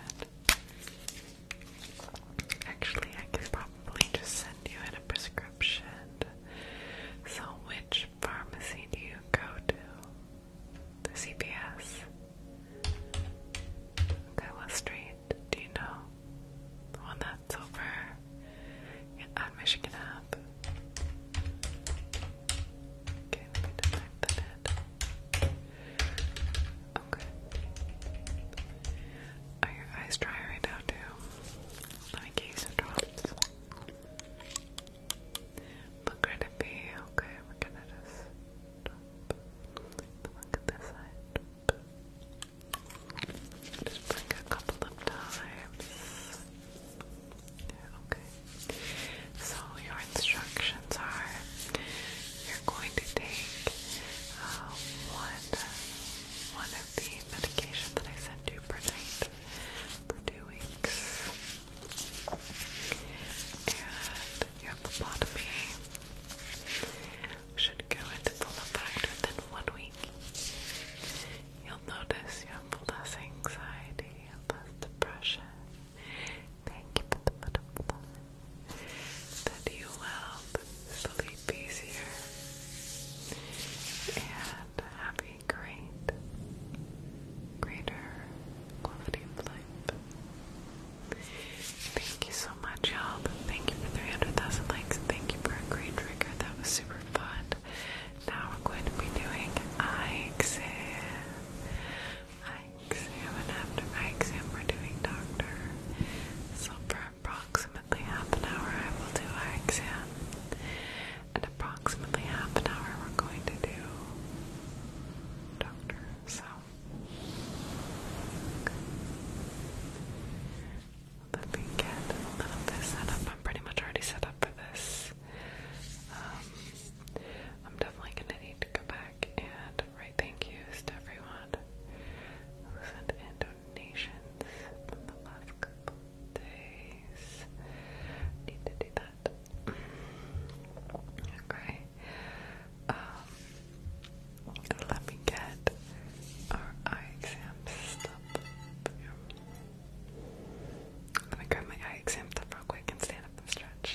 Actually, I could probably just send you in a prescription. So, which pharmacy do you go to? The CPS? Okay, street do you know? The one that's over on Michigan Ave? Okay, let me detect the head. Okay. Are your eyes dry right now, too? Let me get some drops. Look right at me. Okay, Look at this Just bring a couple of times. okay. So your instructions are you're going to take uh, one one of the medications that I sent you per night for two weeks. And your lobotomy should go into full effect within one week. You'll notice you have less anxiety, less depression, Thank you for the butterfly. That you will sleep easier and have a great, greater quality of life. Thank you so much, y'all. Thank you for 300,000 likes. Thank you for a great trigger. That was super fun. Now we're going to be doing I exam eye exam, and after my exam, we're doing doctor. So, for approximately half an hour, I will do eye exam, and approximately half an hour, we're going to do doctor. So, let me get a little bit set up. I'm pretty much already set up for this. Um, I'm definitely gonna need to go back and right thank you to everyone who sent in donations from the last couple days. Need to do that. okay. Um, let me get our eye exam up here. i grab my eye exam stuff real quick and stand up and stretch.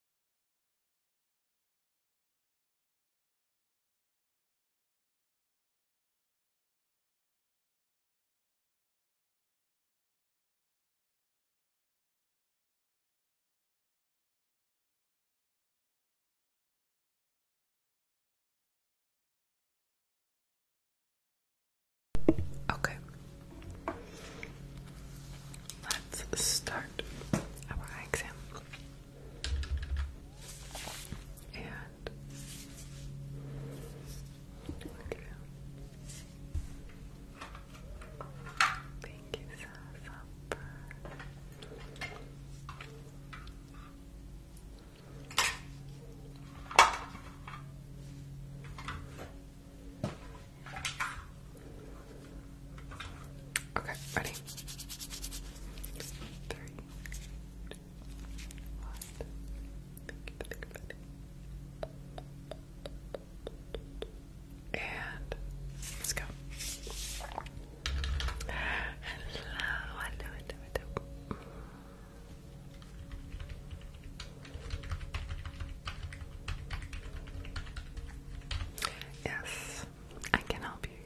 Okay. Let's start our exam. And okay. Thank you, Sasa. Okay. Okay, ready? Three, two, one. Think, think, And let's go. hello, hello. Yes, I can help you,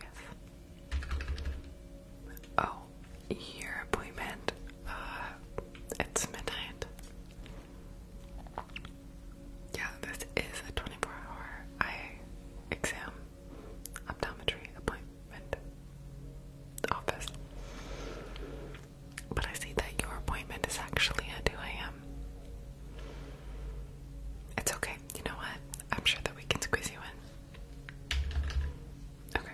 yes. Oh, your appointment, uh, it's midnight. Yeah, this is a 24 hour eye exam optometry appointment office. But I see that your appointment is actually at 2 a.m. It's okay. You know what? I'm sure that we can squeeze you in. Okay.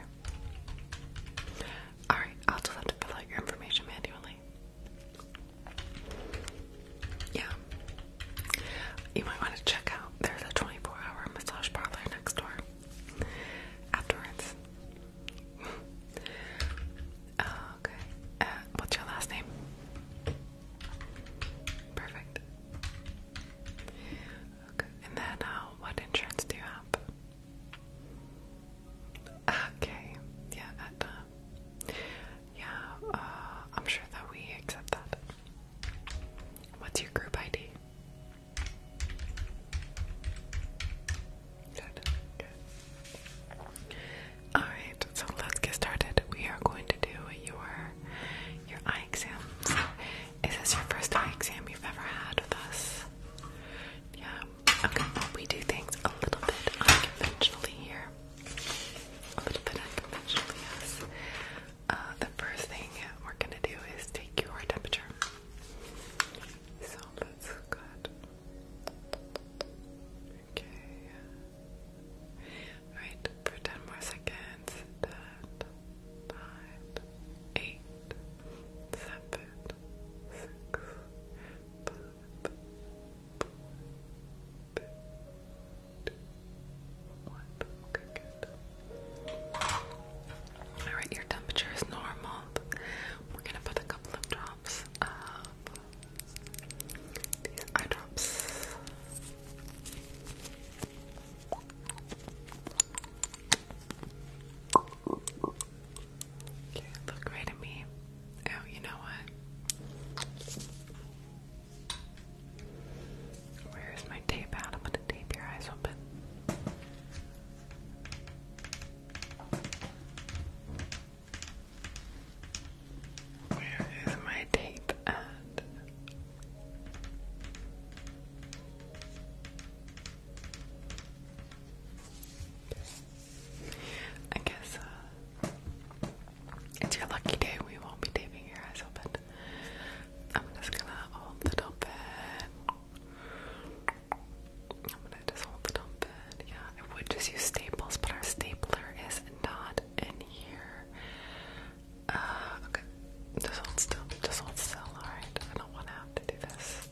Alright, I'll just have to fill out your information manually. Yeah. You might want to check out there's a 24 hour massage parlor next door afterwards. okay. Uh, what's your last name? Perfect. Okay, and then uh, what insurance do you have? Okay, yeah, uh, yeah, uh, I'm sure that we accept that. What's your group ID? Good. Good. All right, so let's get started. We are going to do your your eye exam. Is this your first eye exam you've ever had with us? Yeah. Okay, we do things a little bit unconventionally here. A little bit unconventionally, yes. Uh, the first thing we're gonna do is take your temperature. So that's good. Okay. Alright, for 10 more seconds. 10, good. Alright, your temperature is normal. We're gonna put a couple of drops of these eye drops look right at me. Oh, you know what? Where's my tape out? I'm gonna tape your eyes open. Where is my tape at? I guess uh, it's your lucky day. We won't be taping your eyes open. I'm just gonna hold it open. I'm gonna just hold it open. Yeah, I would just use staples, but our stapler is not in here. Uh, okay. Just hold still. Just hold still. Alright. I don't want to have to do this.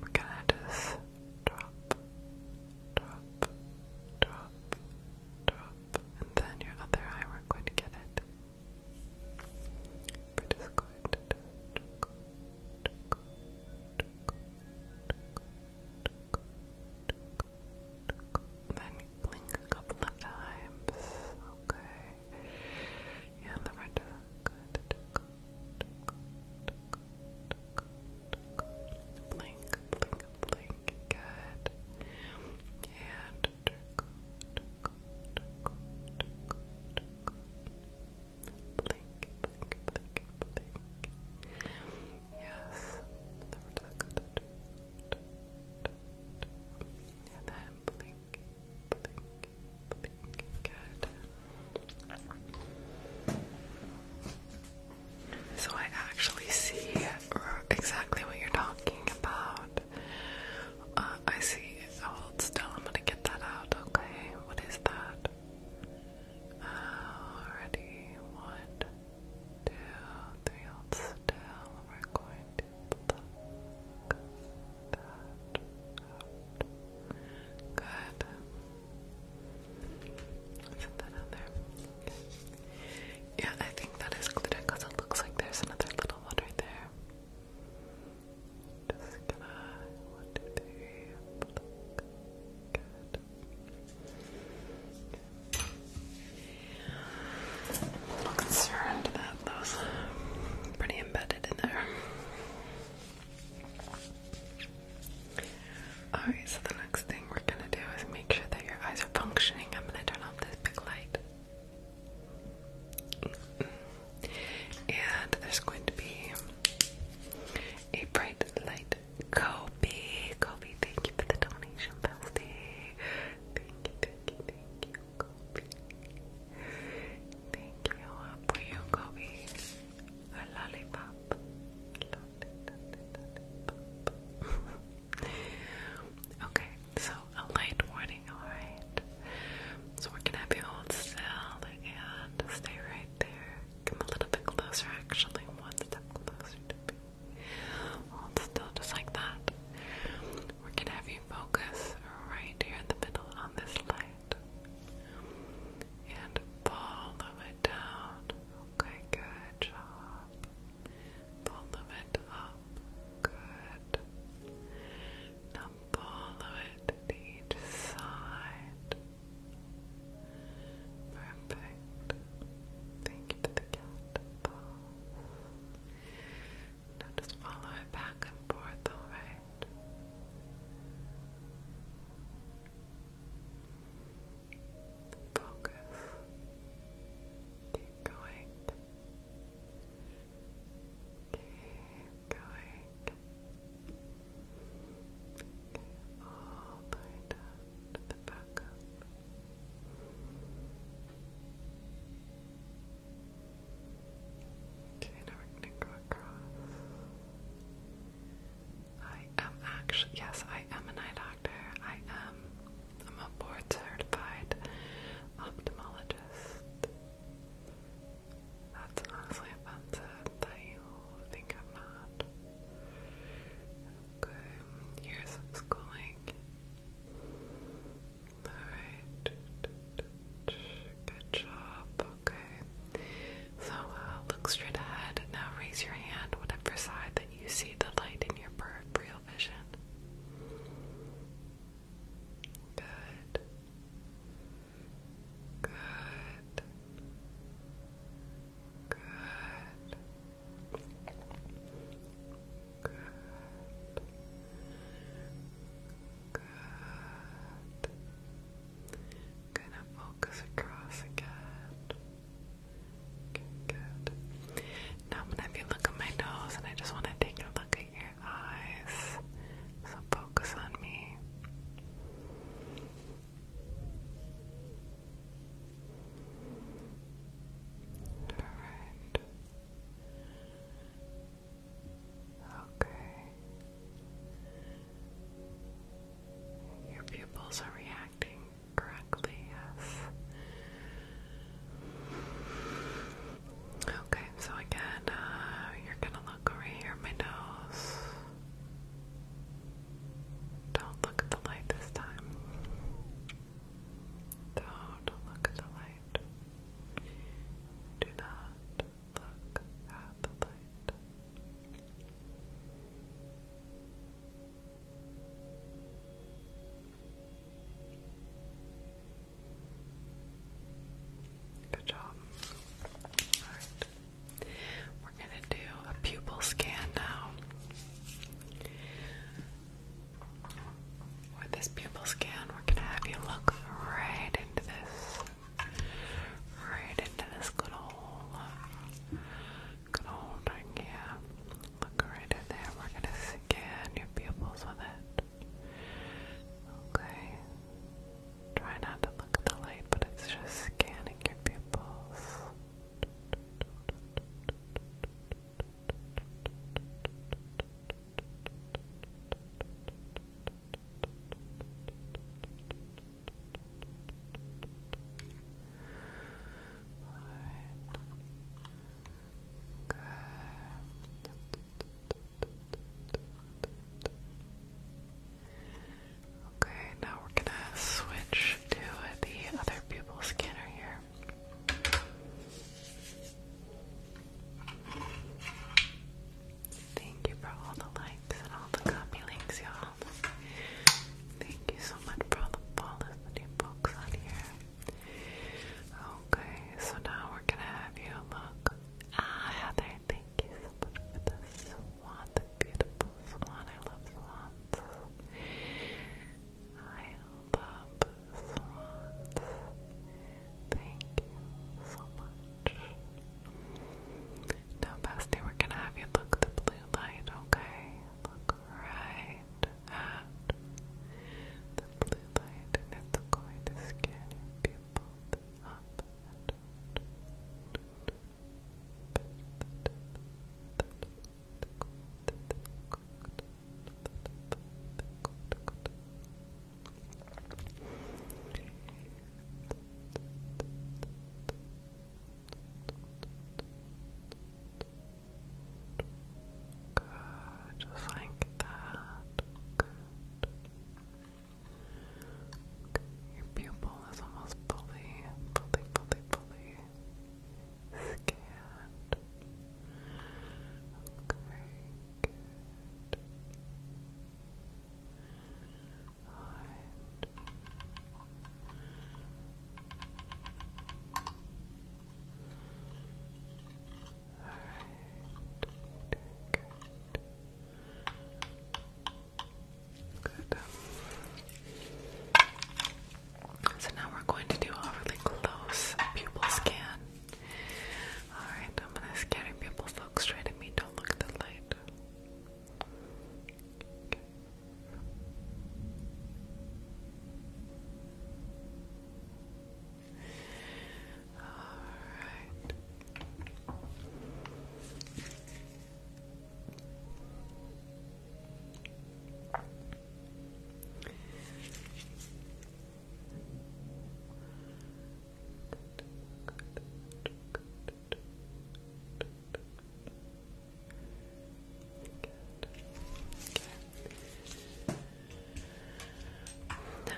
We're gonna just drop, drop, drop, drop, and then your other eye, we're get it. We're then blink a couple of times. Okay. Yeah, the Blink, blink, blink. Good. And blink, blink, blink, blink. Yes. And then blink, blink, blink. Good. So I actually see exactly what you're talking about. Uh, I see. Hold oh, still. I'm gonna get that out. Okay. What is that? Already, one, two, three, still. We're going to pluck that Good. Put that on Yeah, I think that is glitter because it looks like there's another little one right there. Just gonna, one, two, three, Good i concerned that those pretty embedded in there. Alright, so the next thing we're gonna do is make sure that your eyes are functioning. I'm gonna turn off this big light. And there's going to be a bright light Kobe, Kobe, thank you for the donation, bestie. Thank you, thank you, thank you, Kobe. Thank you for you, Kobe. A lollipop. okay, so a light warning, alright? So we're gonna have you still and stay right there. Come a little bit closer, actually, one step closer to me still just like that. We're gonna have you focus right here in the middle on this light. And the it down. Okay, good job. Follow it up. Good. Now follow it to each side. Perfect. Thank you for the cat ball. Now just follow back and forth, alright? Focus. Keep going. Keep going. Okay, all lift the back Okay, now we're gonna go across. I am actually, yes, I am an eye doctor. I am, I'm a board certified ophthalmologist. That's honestly offensive that you think I'm not. Okay, here's what's going. Alright. Good job. Okay. So uh, look straight ahead. Now raise your hand whatever side that you see the light in your peripheral vision. Good. Good. Good. Good. Good. Gonna focus across again. good. Now I'm gonna have you look at my nose and I just wanna take a look at your eyes. So focus on me. Alright. Okay. Your pupils are reacting correctly, yes. Okay, so again, uh, you're gonna look over here, my nose. Don't look at the light this time. Don't look at the light. Do not look at the light. Good job. All right. We're going to do a pupil scan now. With this pupil scan, we're going to have you look right into this, right into this good old, good old Look right in there. We're going to scan your pupils with it. Okay. Try not to look at the light, but it's just scanning your pupils. Okay, now we're gonna switch to the other pupil scanner here. Thank you for all the likes and all the copy y'all. Thank you so much for all the follows that you folks on here. Okay, so now we're gonna have you look. Ah, Heather, thank you so much for the swan, the beautiful swan. I love swans. I love swans. Thank you so much. Now, Bestie, we're gonna have you look the blue light, okay? Look right at the blue light, and it's going to scan your pupils up Good, just like that. Your pupil is almost fully, fully, fully, fully scanned. Okay, good. Alright. Alright. Good. Good. So now we're going to do a really close pupil scan. Alright, I'm gonna scan your pupils. Look straight at me, don't look at the light. Alright.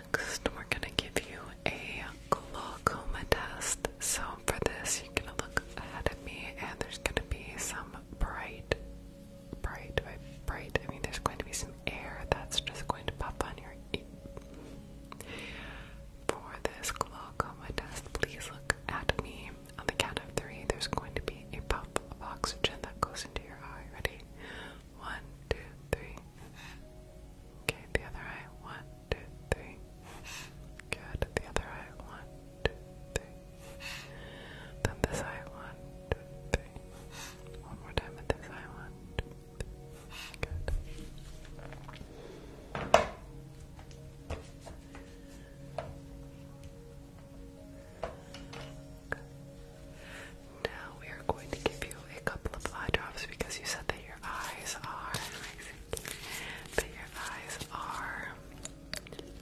Next, we're going to give you a glaucoma test. So, for this, you're going to look ahead at me, and there's going to be some bright bright. bright, I mean there's going to be some air that's just going to pop on your ear. For this glaucoma test, please look at me. On the count of three, there's going to be a puff of oxygen that goes into your eye. Ready? One, two, three. Okay, the other eye. One, two, three. Good. The other eye. One, two, three. Then this eye, one, two, three. One more time with this eye, one, two, three. Good. Now we are going to give you a couple of eye drops because you said that your eyes are that your eyes are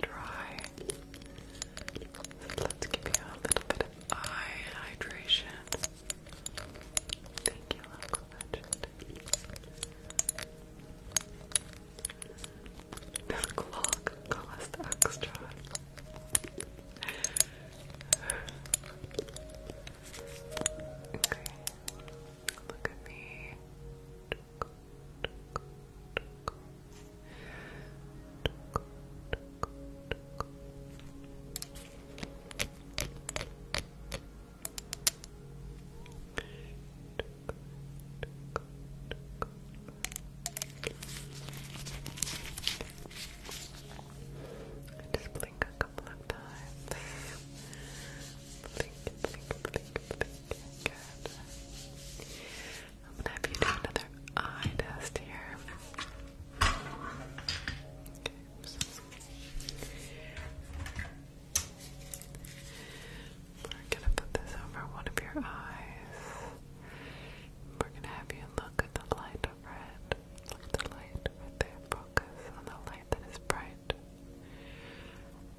dry. Let's give you a little bit of eye hydration. Thank you, Uncle This clock cost extra. Okay, look at me. I just blink a couple of times. blink, blink, blink, blink. Good. I'm gonna have you do another eye test here. We're gonna put this over one of your eyes. We're gonna have you look at the light over Look at the light Focus on the light that is bright.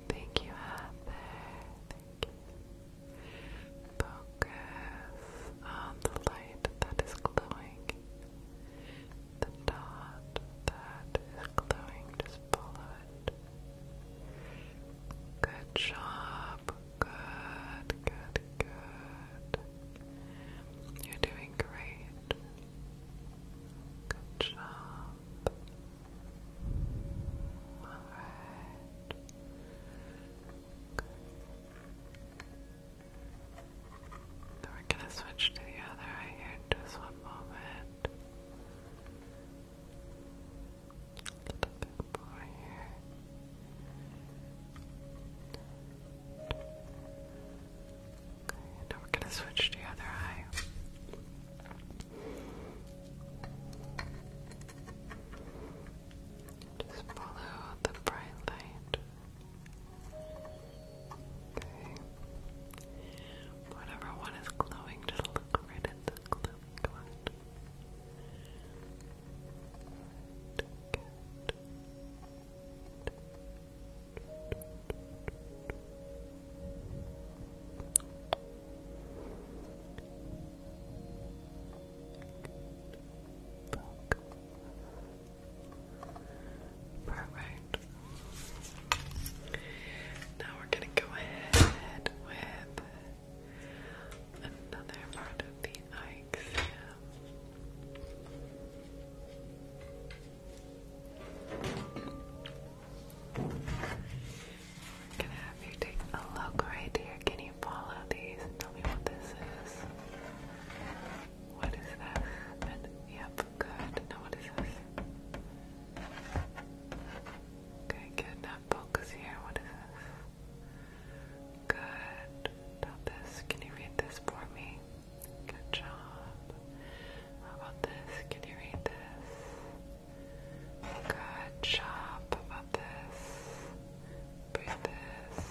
Thank you, Heather. Thank Focus on the light that is glowing. The dot that is glowing, just follow it. Good job. Good, good, good. You're doing great. Good job. Alright. So we're gonna switch to the other eye here just one moment. A little bit more here. Okay, now we're gonna switch to the other eye. Just follow the bright light. Okay. Whatever one is glowing, just look right at the glowing Perfect. Now we're gonna go ahead with another part of the eye i have you take a look right here. Can you follow these and tell me what this is? What is that? yep, good. Now what is this? Okay, good. Now focus here. What is this? Good. Now this. Can you read this for me? Good job. How about this? Can you read this? Good job. How about this? Breathe this.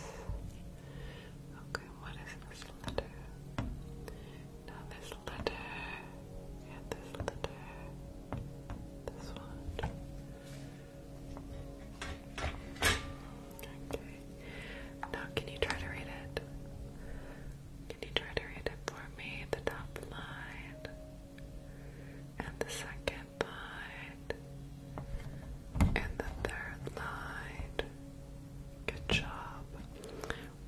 Okay, what is this letter? Now this letter. And this letter. This one. Okay. Now can you try to read it? Can you try to read it for me? The top line. And the second and the third line. Good job.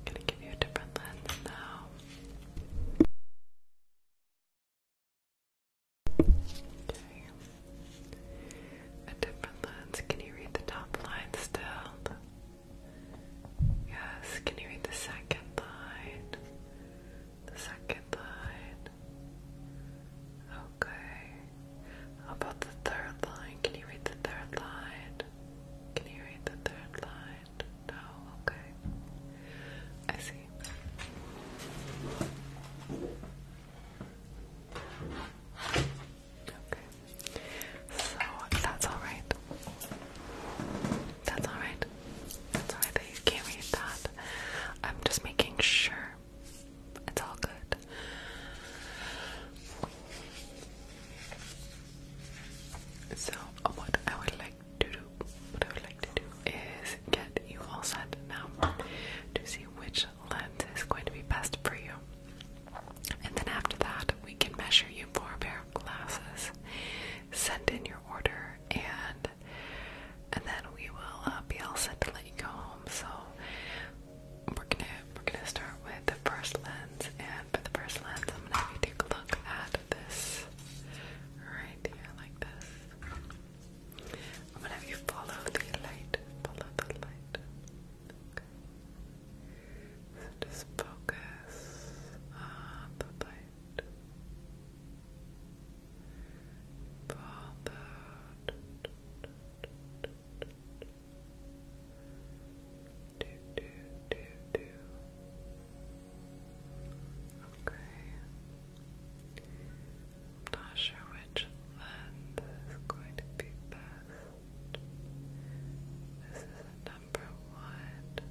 gonna give you a different lens now. Okay. A different lens. Can you read the top line still? Yes. Can you read the second line? the second line. Okay. about the third line? Can you read the third line? Can you read the third line? No? Okay. I see. Okay. So that's alright. That's alright. That's alright that you can't read that. I'm just making sure it's all good. So, what I would like to do, what I would like to do is get you all set now to see which lens is going to be best for you. And then after that, we can measure you for a pair of glasses, send in your order, and and then we will uh, be all set to let you go home. So we're gonna we're gonna start with the first lens, and for the first lens, I'm gonna have you take a look at this right here, like this. I'm gonna have you follow the light, follow the light. just focus on the light. Father. Do, do, do, do. Okay. not sure which length is going to be best. This is number one.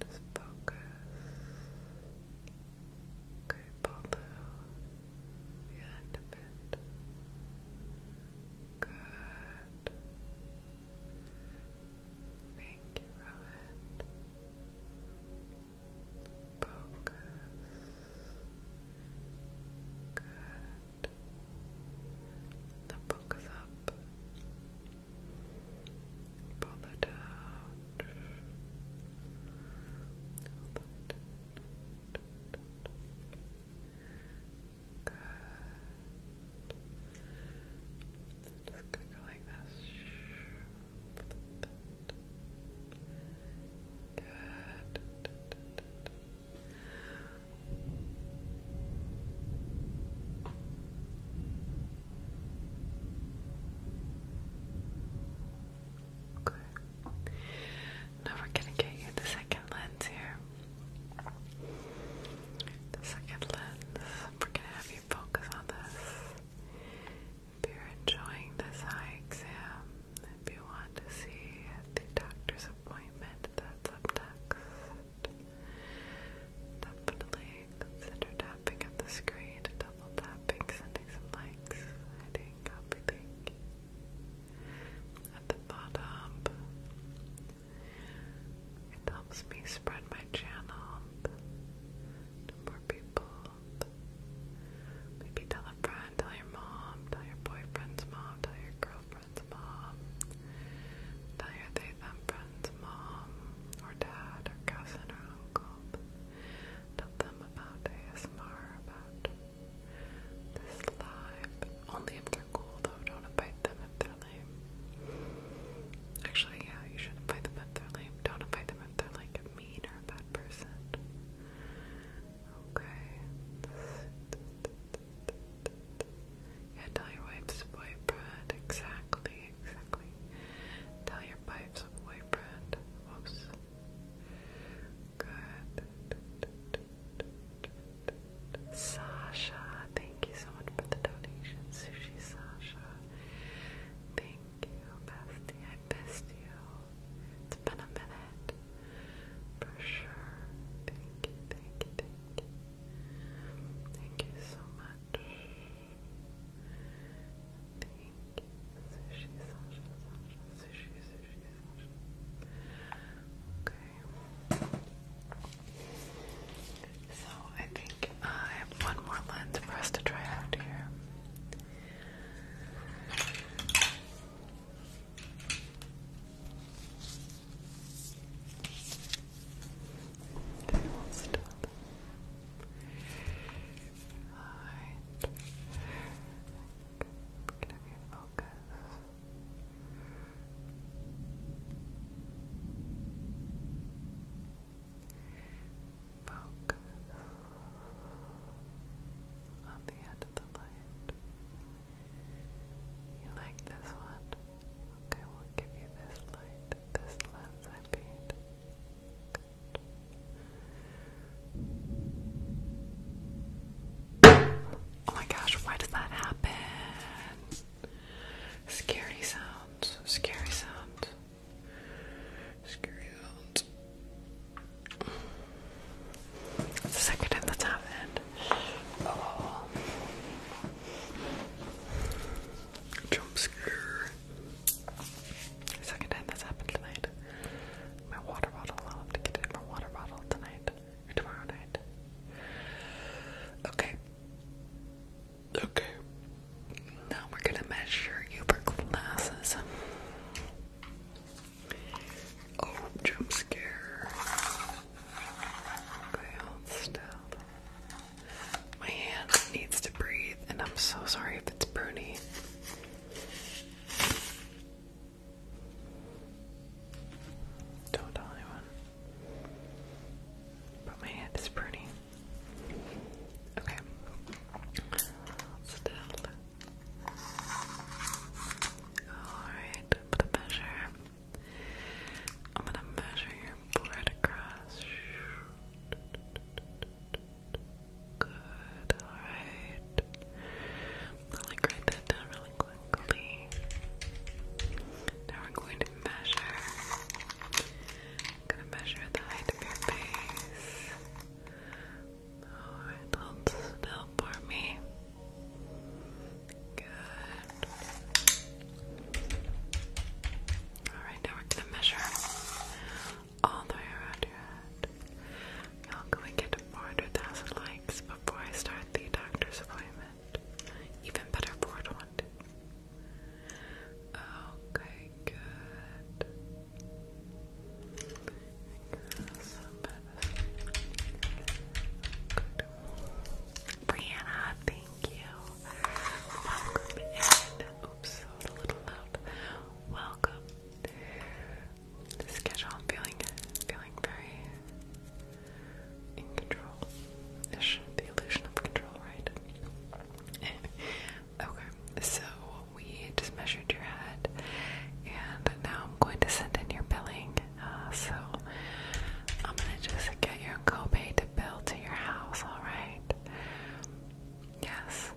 Just focus. Okay, pull through the end of it. Good. Thank you, Rowan. Focus. Good. Now focus up. Pull it out. Good. Just go like this. Good. Okay. Now we're gonna get you the second lens here. The second lens. We're gonna have you focus on this. If you're enjoying this eye exam, if you want to see the doctor's appointment, that's up next. Definitely Consider tapping at the screen, double tapping, sending some likes, hiding, copy link. At the bottom, it helps me spread my channel to more people. Maybe tell a friend, tell your mom, tell your boyfriend's mom, tell your girlfriend's mom, tell your they them friend's mom, or dad, or cousin, or uncle. Tell them about ASMR, about this live. Only if they're cool though, don't invite them if they're lame. Actually, yeah, you should invite them if they're lame. Don't invite them if they're like mean or a bad person. Okay. Yeah, tell your wife's boyfriend exactly exactly, Tell your pipes a boyfriend. Whoops. Good. Sasha, thank you so much for the donation, Sushi Sasha. Thank you, bestie. I missed you. It's been a minute. For sure. Thank you, thank you, thank you. Thank you so much. Thank you. So I think um, I have one more lens for us to try out here. Alright. Can I focus? Focus on the end of the light. You like this one? Okay, we'll give you this light, this lens I paint. Oh my gosh, why did that happen? Scary sound. scary sound. scary sounds. second time that's happened. Oh. Jump scare. Second time this happened tonight. My water bottle. I'll to get it my water bottle tonight or tomorrow night. Okay. Okay. Now we're gonna measure Uber glasses. Oh, jump scare. Okay, hold still. My hand needs to breathe, and I'm so sorry if it's pruny. Don't tell anyone. But my head is pretty. Okay. Still. Alright, for the measure. I'm gonna measure your blood across. Good, alright. I'll like write that down really quickly. Now we're going to measure. I'm gonna measure the height of your face. Alright, hold still for me. Good. Alright, now we're gonna measure all the way around your head. Y'all go and get 400,000 likes before I start the doctor's appointment. Even better, Ford wanted. Okay, good. Brianna, thank you. Welcome in. Oops, a little loud. Welcome the schedule. I'm feeling, feeling very in control. Ish, the illusion of control, right? okay, so we just measured your head, and now I'm going to send in your billing. Uh, so I'm gonna just get your copay to bill to your house. All right. Yes.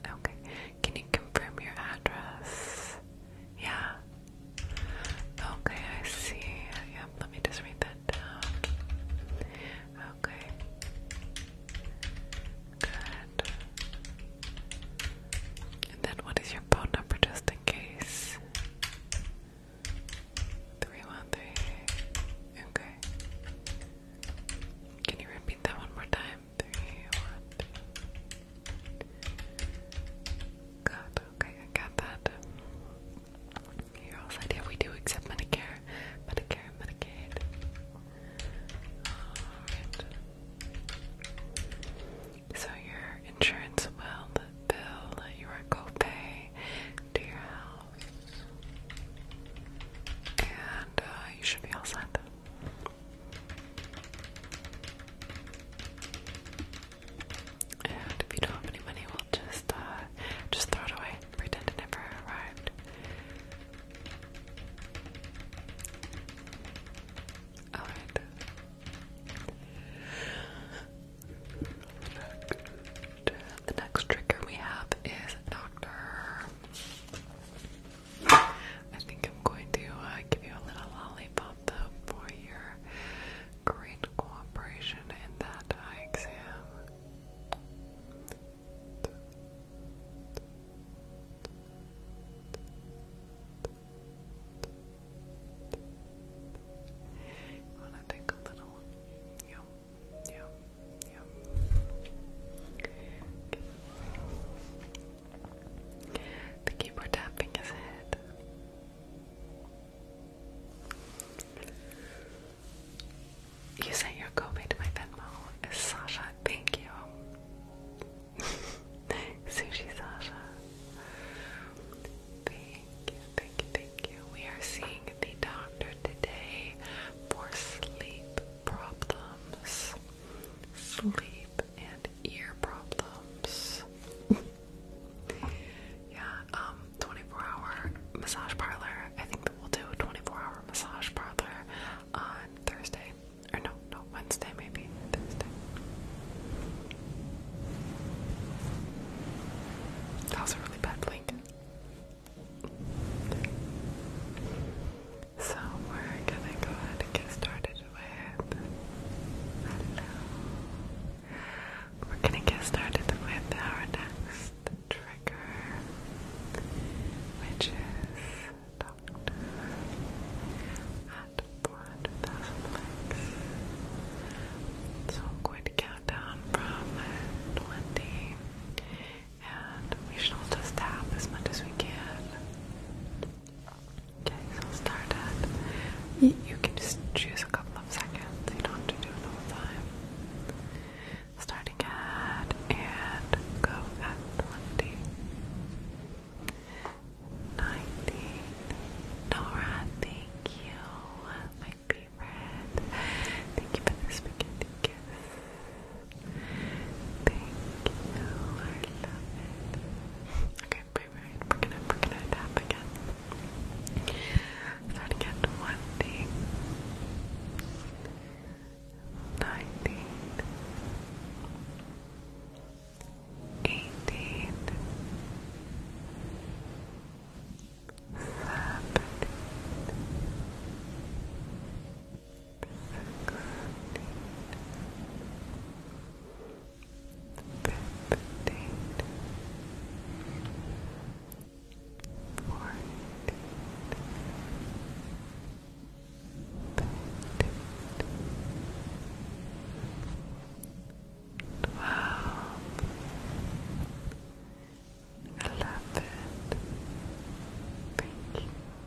Okay. Can you confirm your address? Yeah. Okay, I see. Yep, let me just read that down. Okay. Good. And then what is your phone number just in case? 313. Okay. Can you repeat that one more time? three, one, two. Good, okay, I got that. You're all set. Yeah, we do accept Medicare, Medicare, Medicaid. Alright. So your insurance will bill your copay to your house. And uh, you should be all set. And if you don't have any money, we'll just uh, just throw it away. Pretend it never arrived. Alright. The next trigger we have is Doctor. I think I'm going to uh, give you a little lollipop for your great cooperation in that exam. The keyboard tapping his head. You sent your copay to my Venmo. Sasha? Thank you. Sushi Sasha. Thank you, thank you, thank you. We are seeing the doctor today for sleep problems sleep, and ear problems. yeah, um, 24 hour massage parlor. I think that we'll do a 24 hour massage parlor on Thursday. Or no, no, Wednesday maybe. Thursday. That was a really bad blink. So we're gonna go ahead and get started with hello. We're gonna get started with our next trigger, which is Doctor at 400,000 So I'm going to count down from 20 and we should all just tap as much as we can. Okay, so start at. You, can just choose a couple of seconds, you don't have to do it all the time. Starting at and go at 20. Nora, thank you. My favorite. Thank you for the spaghetti kiss. Thank you. Okay, wait, wait. We're gonna, we're gonna tap again. Try Eleven. Thank you.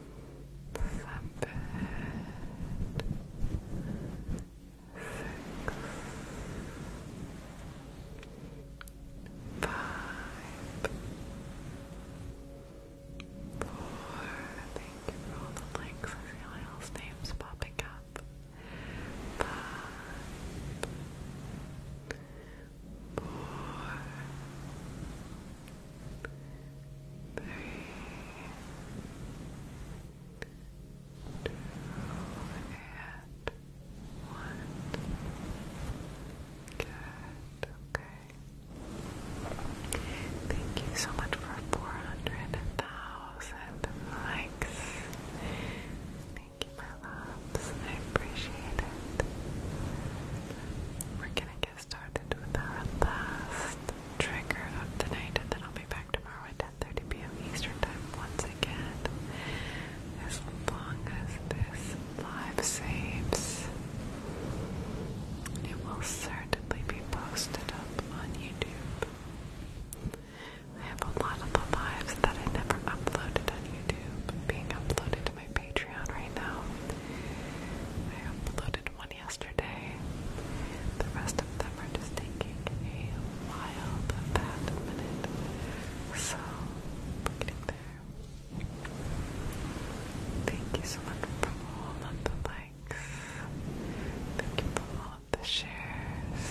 seven, six, five, four. Thank you for the likes. I see Lyle's name's popping up. four three, two, and one. Good, okay. Thank you so much for 400,000 likes. Thank you, my loves. I appreciate it. We're gonna get started with our last trigger of tonight, and then I'll be back tomorrow at 10:30 p.m. Eastern Time once again. As long as this live saves, it will certainly be posted up on YouTube. I have a lot of lives that I never uploaded on YouTube being uploaded to my Patreon right now. I uploaded one yesterday. The rest of them are just taking a wild fat minute. So we there. Thank you so much for all of the likes. Thank you for all of the shares.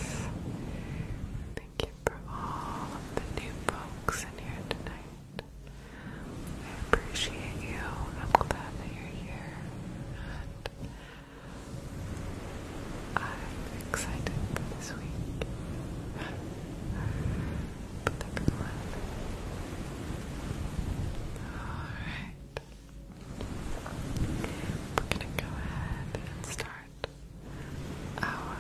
Thank you for all of the new folks in here tonight. I appreciate you. I'm glad that you're here. I'm excited for this week. Alright. We're gonna go ahead and start our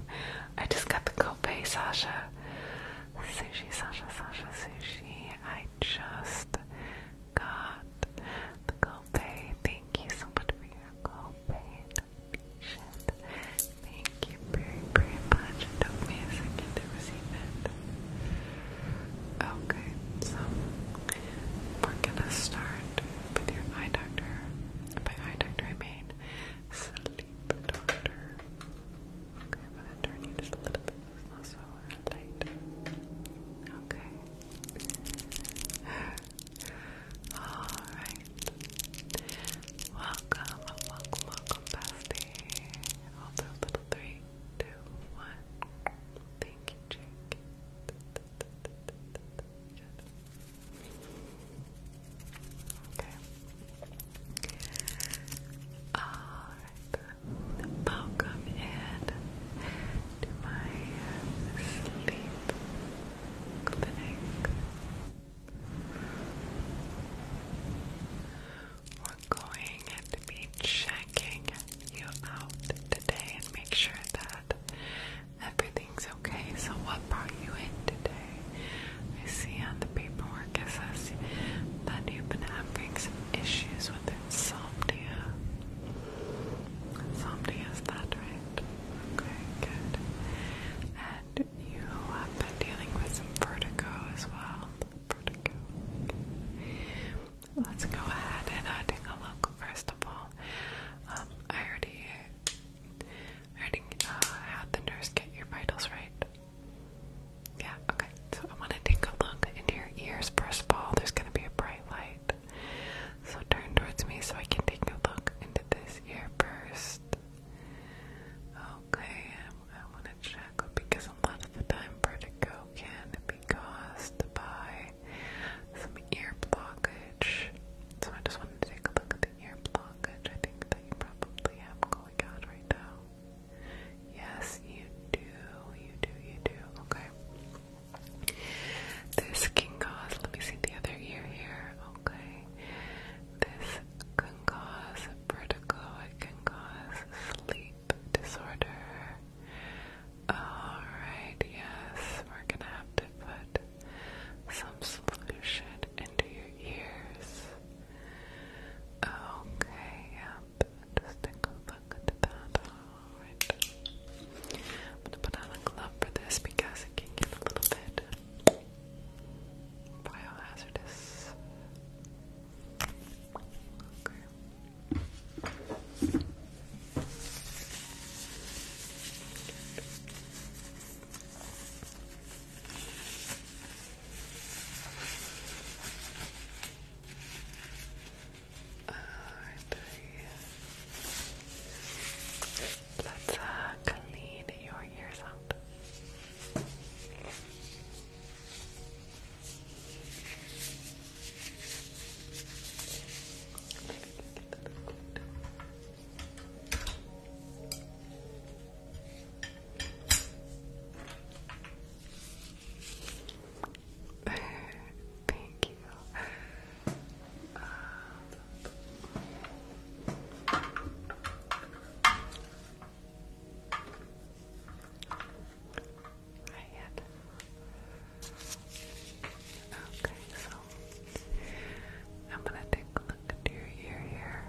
I just got the copay, Sasha. Sushi, Sasha, Sasha, Sushi. I just got the gold GoPay. Thank you so much for your gold donation. Thank you very, very much. It took me a second to receive it. Okay, so we're gonna start with your eye doctor. By eye doctor, I mean sleep doctor. Okay, i turn you just a little bit. It's not Okay. Alright. Welcome, welcome, welcome, bestie. Hold little three, two, one. Thank you, Jake. Okay. All Welcome in to my sleep clinic. We're going to be checking you out today and make sure that everything's okay. So, what brought you in today? I see the paperwork, says that you've been having some issues with insomnia. Insomnia is that right? Okay, good. And you have been dealing with some vertigo as well. Vertigo. Let's go ahead and uh, take a look. First of all, um, I already, already uh, had the nurse get your vitals right. Yeah, okay. So I want to take a look into your ears first of all. There's going to be a bright light. So turn towards me so I can take a look into this ear first. Okay, I want to check because a lot of the time vertigo can be caused by some ear blockage. So I just wanted to take a look at the ear blockage. I think that you probably have going on right now. Yes, you do, you do, you do. Okay. This can cause, let me see the other ear here. Okay. This can cause vertigo, it can cause sleep disorder. Alright, yes, we're gonna have to put some solution into your ears. Okay, up. Just I'm gonna put on a glove for this because it can get a little bit biohazardous. Okay. Alright, let's uh, clean your ears up. Thank you. Okay, so I'm gonna take a look at your ear here.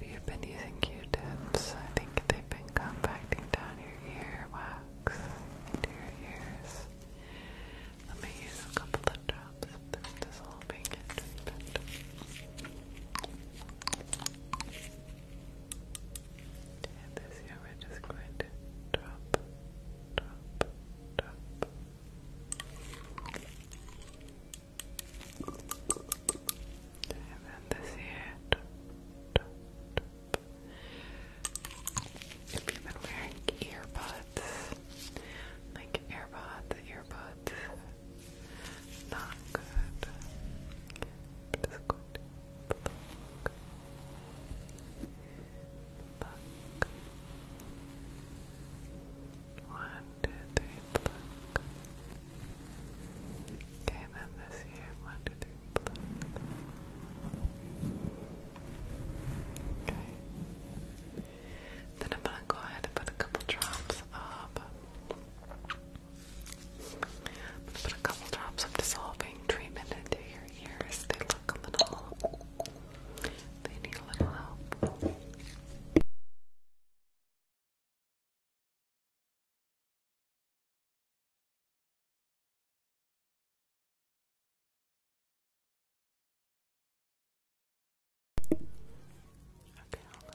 If you've been using Q-tips, I think they've been compacting down your ear into your ears. Let me use a couple of drops of dissolving treatment. And this year we're just going to drop, drop, drop. And then this here. If you been wearing earbuds, like earbuds, earbuds, not good. But it's two, three, Okay, then this here, one, two, three, Okay. Then I'm gonna go ahead and put a couple drops of I'm gonna put a couple drops of dissolving treatment into your ears. They look a little they need a little help. Okay, hold on.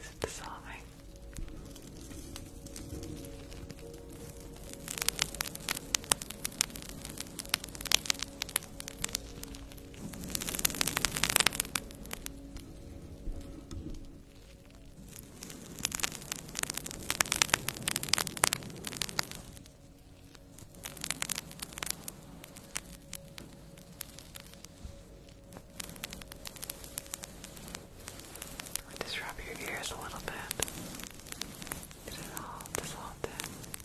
It's dissolving. Just rub your ears a little bit. Get it all dissolved in. Good.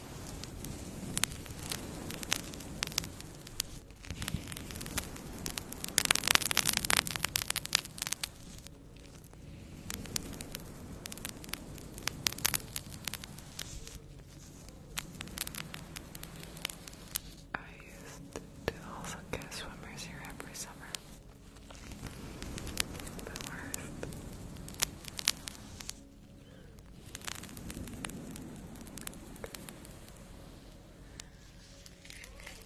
I used to also get swimmer's here every summer. The worst.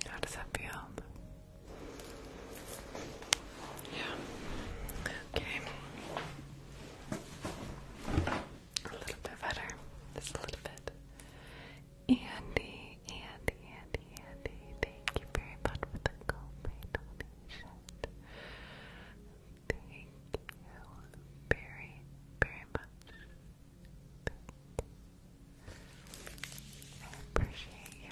How does that feel? Yeah. Okay. A little bit better. Just a little bit. Andy, Andy, Andy, Andy, thank you very much for the GoPay donation. Thank you very, very much. I appreciate you.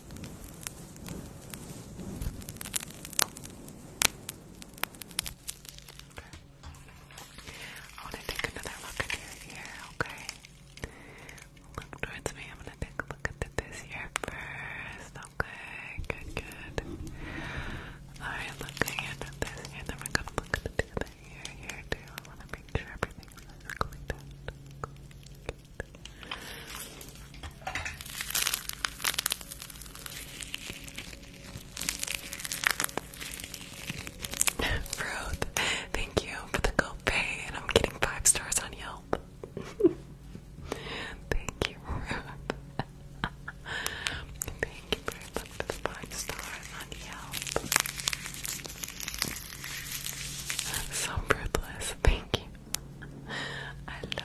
I want to take another look at your ear, okay? Look towards me. I'm going to take a look at this ear first, okay? Good, good. Alright, looking at this ear, then we're going to look at the ear here, too. I want to make sure everything's really done. Ruth, thank you for the copay, and I'm getting five stars on Yelp. thank you, Ruth. thank you very for the five stars on Yelp. So fruitless, thank you. I love it.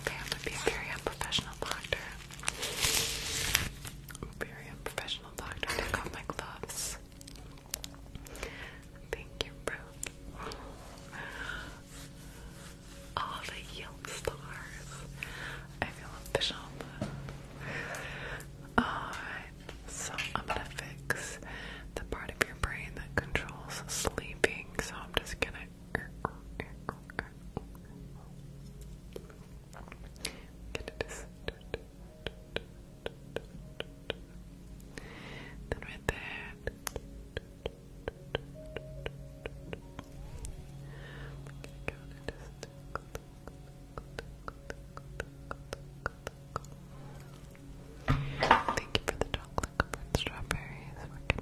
Okay, I'm gonna be a very unprofessional doctor. Very unprofessional doctor. Take off my gloves. Thank you, bro. All the yield stars. I feel official. Alright, so I'm gonna fix the part of your brain that controls sleeping so I'm just gonna. Get this. Then with that, Thank you for the chocolate strawberries. We're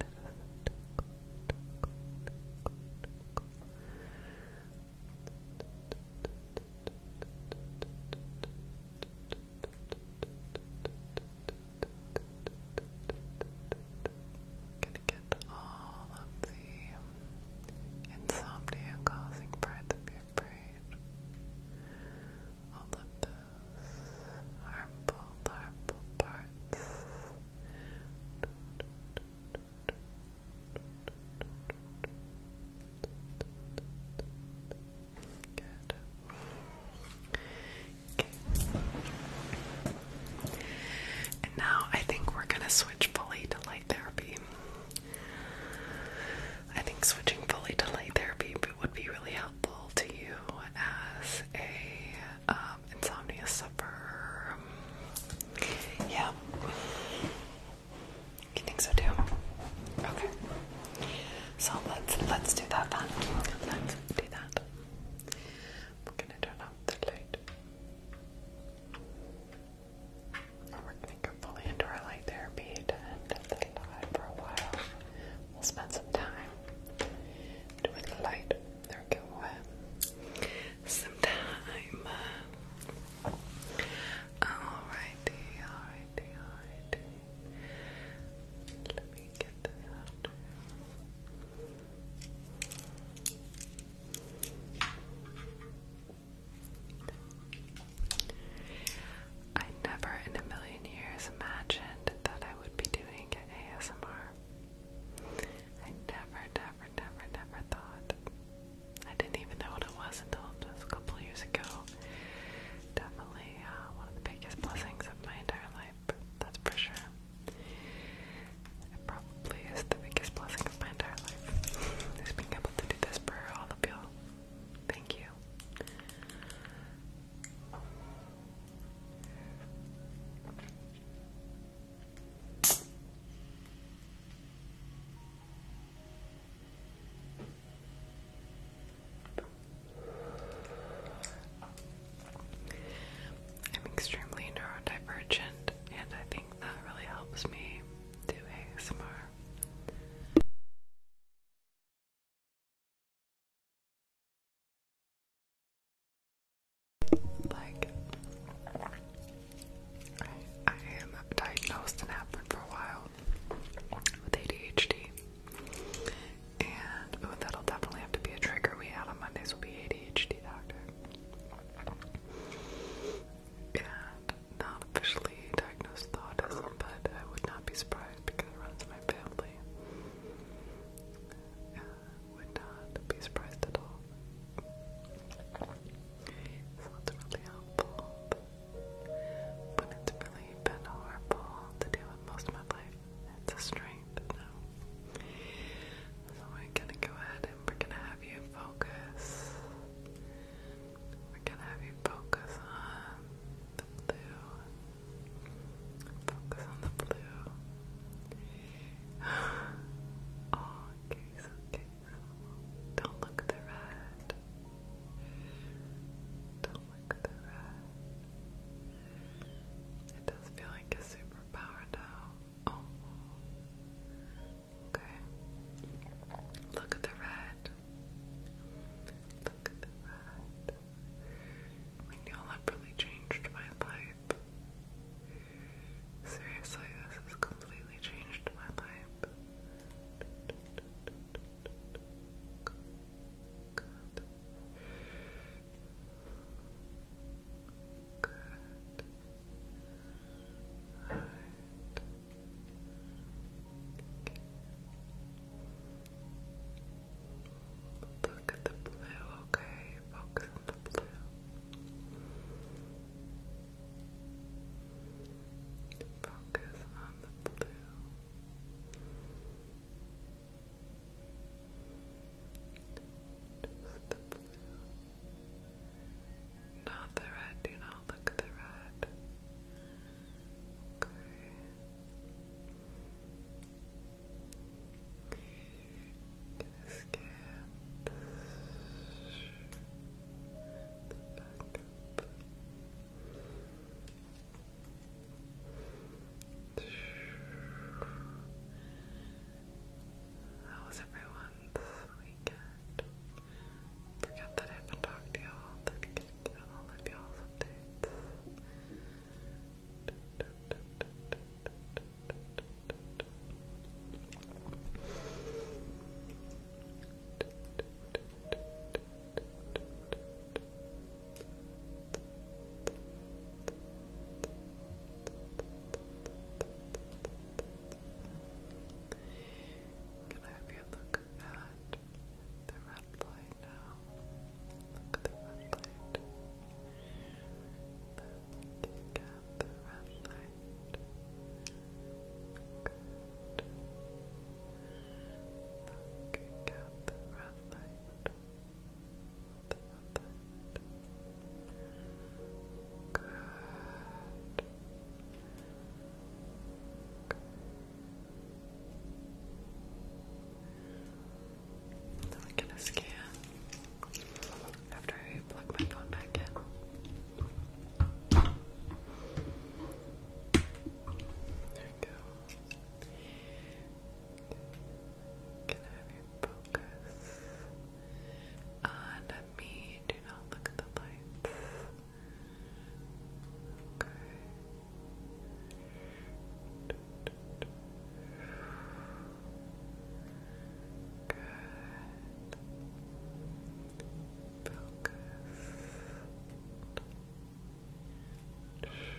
Gonna get all of the insomnia causing parts of your brain all of harmful, harmful parts. Good. Okay. And now I think we're gonna switch fully to light therapy. I think switching fully to light therapy would be really helpful to you as a um, insomnia sufferer. Yeah. You think so too? Okay. So let's let's do that then. do that. We're gonna turn off the light. We're gonna go fully into our light therapy to end the live for a while spend some time doing light work. Some time. Alrighty, alrighty, alrighty. Let me get this out. I never in a million years imagined that I would be doing ASMR. I never, never, never, never thought. I didn't even know what it was until just a couple years ago. Definitely uh, one of the biggest blessings of my entire life. That's for sure. probably is the biggest blessing of my entire life. Just being able to do this for all of you Thank you. I'm extremely neurodivergent, and I think that really helps me do ASMR. Like, I, I am diagnosed and have been for a while with ADHD. And ooh, that'll definitely have to be a trigger we had on Mondays will be ADHD doctor. And not officially diagnosed thought, but I would not be surprised because it runs in my family would not be surprised at all. So it's really helpful. But it's really been horrible to deal with most of my life. It's a strength So we're gonna go ahead and we're gonna have you focus. We're gonna have you focus on the blue Focus on the blue. okay, okay, oh, Don't look at the red. Don't look at the red. It does feel like a superpower now. Oh. Okay. Look at the red. Look at that. really changed my life. Seriously, this has completely changed my life. Look at the blue, okay? Focus on the blue. Focus on the blue. Just the blue. Not the red, do not look at the red. Okay. Just get the back weekend? Forget that I haven't talked to y'all. That I get all y'all's updates. Can I have you look at the red light? right now. Look at the red light. Look at Look at the red light. The red then I get a scan after I plug my phone back in. There we go. Can I have your focus on me? Do not look at the lights. Okay. Good. Focus. Good. Good. Perfect.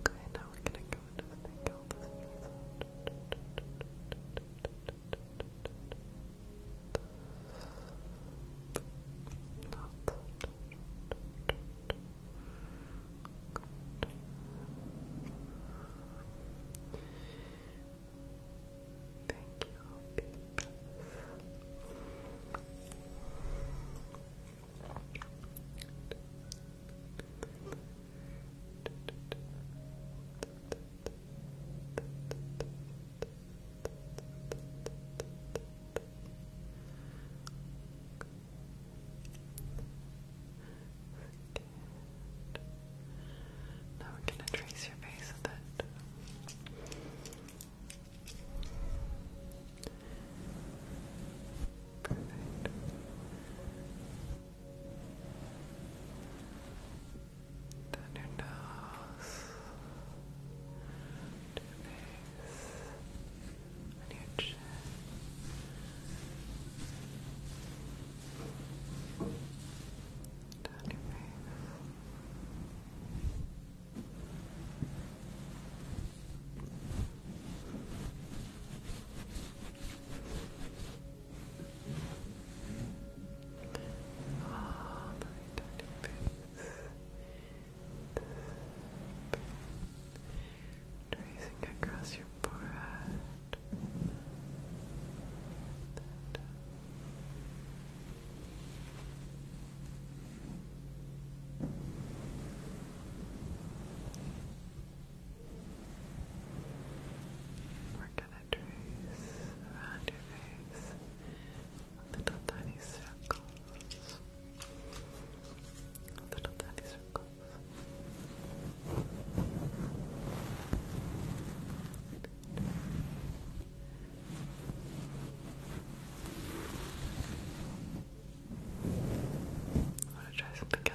Okay, now we're gonna go into what they call the Thank you, now we're going to trace your face with it. Perfect. Down your nose, to your face, on your chin. Down your face. All my tiny bits. Tracing across your forehead. We're gonna trace around your face little tiny circles. Little tiny circles. I want to try something else.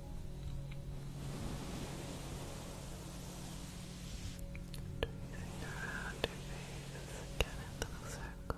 Tracing around your face again in little circles. Good.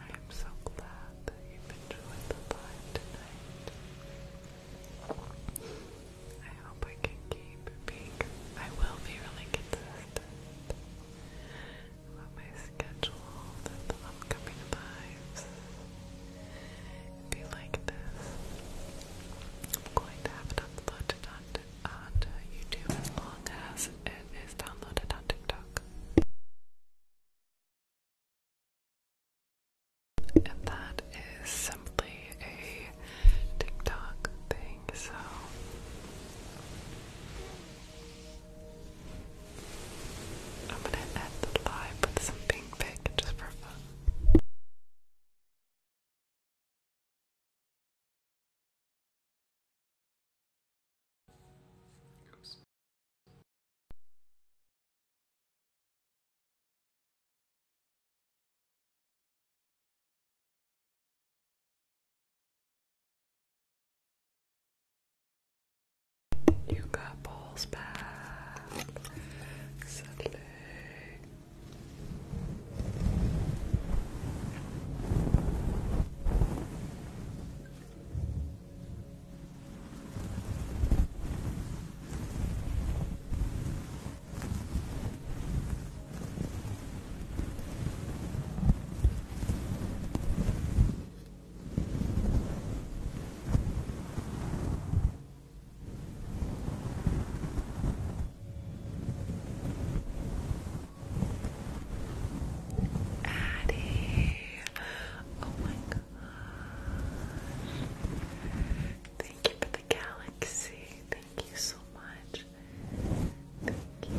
I am so glad that you enjoyed the time tonight. I hope I can keep being. I will be really consistent about my schedule the upcoming lives. If you like this, I'm going to have it uploaded onto, uh, YouTube as long as it is downloaded on TikTok. And that is simply a TikTok thing, so I'm gonna add the live with some pink pick just for fun. You got balls back suddenly. Addie. Oh my gosh. Thank you for the galaxy. Thank you so much. Thank you. Thank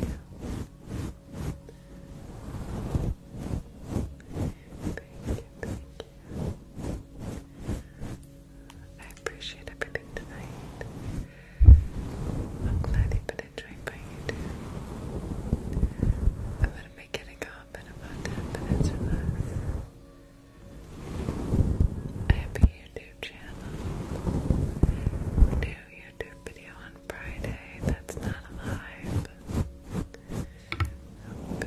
you, thank you. I appreciate everything tonight. I'm glad you I'm gonna be getting up in about 10 minutes or less. I YouTube channel. New YouTube video on Friday that's not live. I'm so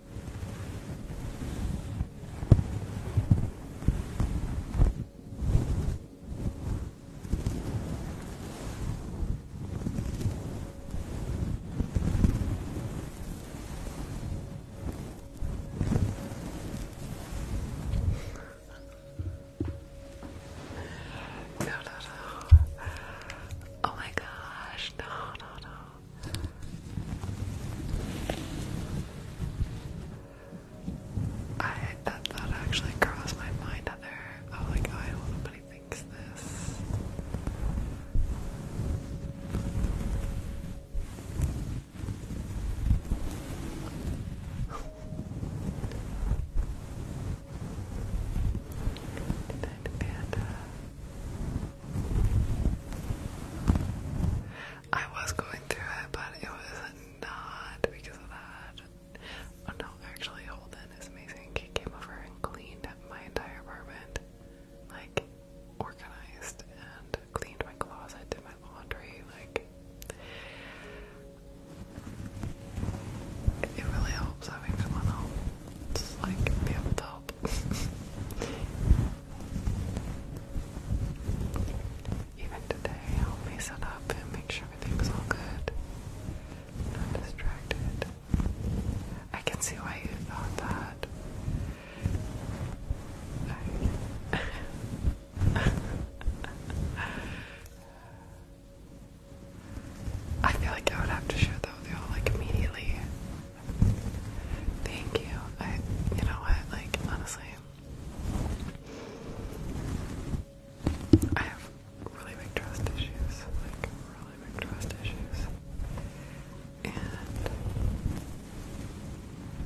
No, no, Oh my gosh, no, no. I that thought actually crossed my mind that there I like, I don't want nobody thinks this. Good night, Panda. I was going through it, but it was not because of that. Oh no, actually, Holden is amazing. He came over and cleaned my entire apartment, like organized and cleaned my closet, did my laundry, like. It really helps having someone else, like, be able to help. Even today, I'll mess up and make sure everything's all good. Not distracted. I can see why you thought that. I feel like I would have to share that with y'all like immediately. Thank you. I, you know what? Like honestly, I have really big trust issues, like really big trust issues, and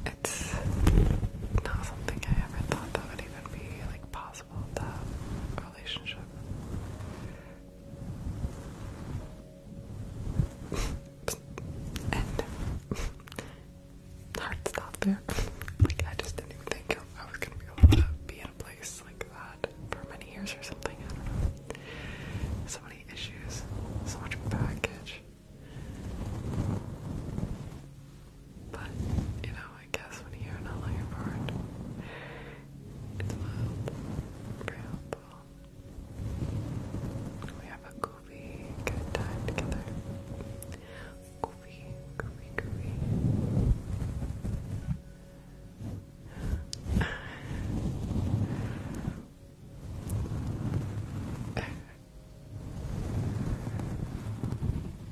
it's not something I ever thought that would even be like possible to relationship. and hard stop there. like I just didn't even think I was gonna be able to be in a place like that for many years or something. I don't know. So many issues, so much baggage. But you know, I guess when you're not like apart, it's mild, very helpful. We have a goofy, good time together.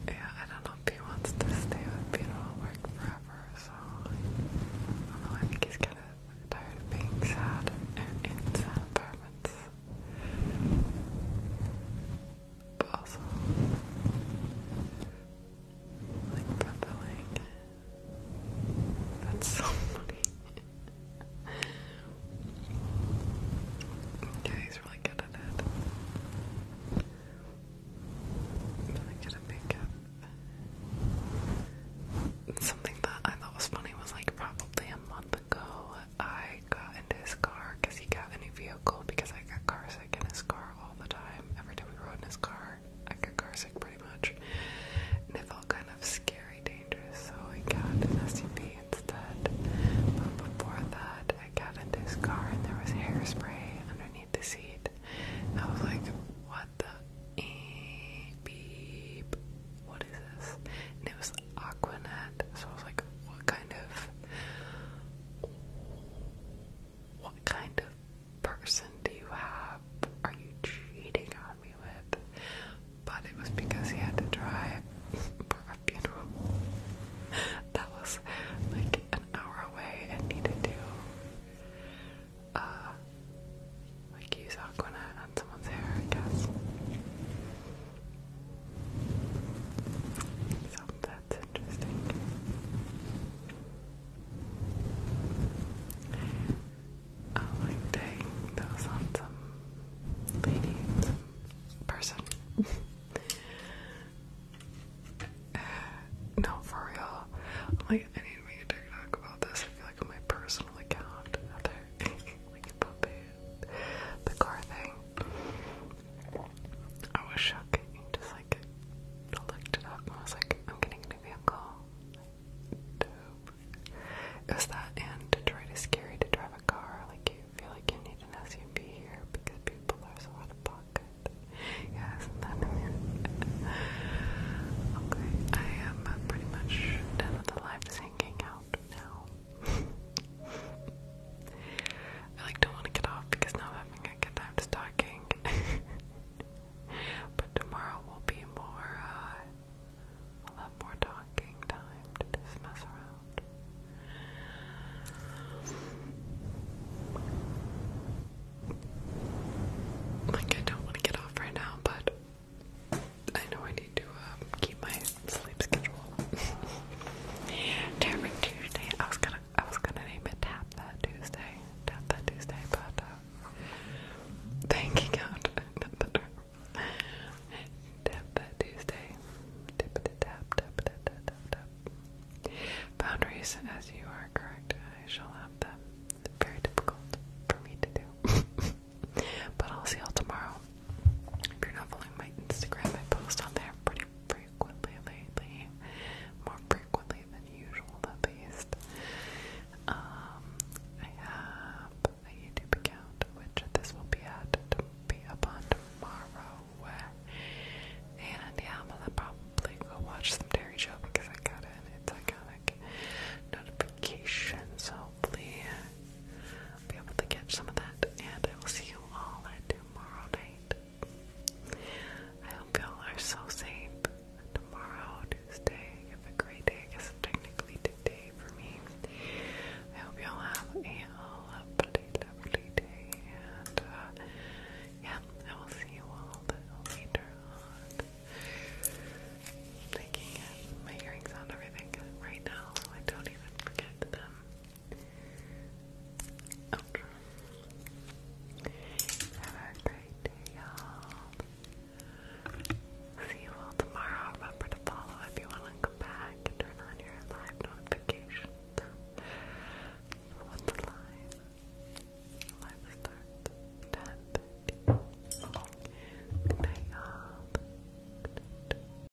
yeah, I don't know if he wants to stay with me at work forever, so I don't know, I think he's kind of tired of being sad and in sad apartments puzzle, like puzzling. That's so funny. yeah, he's really good at it. Really good at makeup. Something that I thought was funny was like probably a month ago, I got in his car because he got a new vehicle because I got carsick in his car all the time. Every time we rode in his car, I got carsick pretty much. And it felt kind of scary, dangerous, so I got an SUV instead. But before that, I got into his car and there was hairspray underneath the seat. I was like, what the? Beep. What is this? And it was Aquanet. So I was like, what kind of what kind of person do you have? Are you cheating on me with? But it was because he had to drive for a funeral that was like an hour away and needed to uh like use Aquanet on someone's hair, I guess. So that's interesting. Oh, like dang, that was on some lady, person. Uh, no, for real. like, I need to make a TikTok about this. I feel like on my personal account out like a puppy the car thing. I was shook. Just like I looked it up and I was like, I'm getting a new vehicle. Is It was that and Detroit is scary to drive a car. Like you feel like you need an SUV here because people are so out of pocket. Yeah, okay, I am pretty much done with the hanging out now. I like don't want to get off because now I'm having a good time talking. but tomorrow will be more. Uh, we more talking time to just mess around. Like I don't want to get off right now, but I know I need to um, keep my sleep schedule. Tapping Tuesday. I was gonna I was gonna name it Tap That Tuesday. Tap That Tuesday, but uh, thanking Tap That Tuesday. Tip tap tap tap tap tap tap. Boundaries as you are correct, I shall have them. Very difficult for me to do. but I'll see y'all tomorrow. If you're not following my Instagram, I post on there pretty frequently lately. More frequently than usual, at least. Um, I have a YouTube account, which this will be at to be up on tomorrow. And yeah, I'm gonna probably go watch some Dairy Show because I got an it's iconic notification. So hopefully i be able to catch some of that, and I will see you all tomorrow night. I hope y'all are so safe. Tomorrow, Tuesday, have a great day. I technically today for me. I hope y'all have a lovely, lovely day, and uh, yeah, I will see you all later on. Taking my earrings out everything right now, I don't even forget them. Oh. Have a great day, y'all. See you all tomorrow. Remember to follow if you want to come back turn on your live notifications. live? starts ten thirty. night, y'all.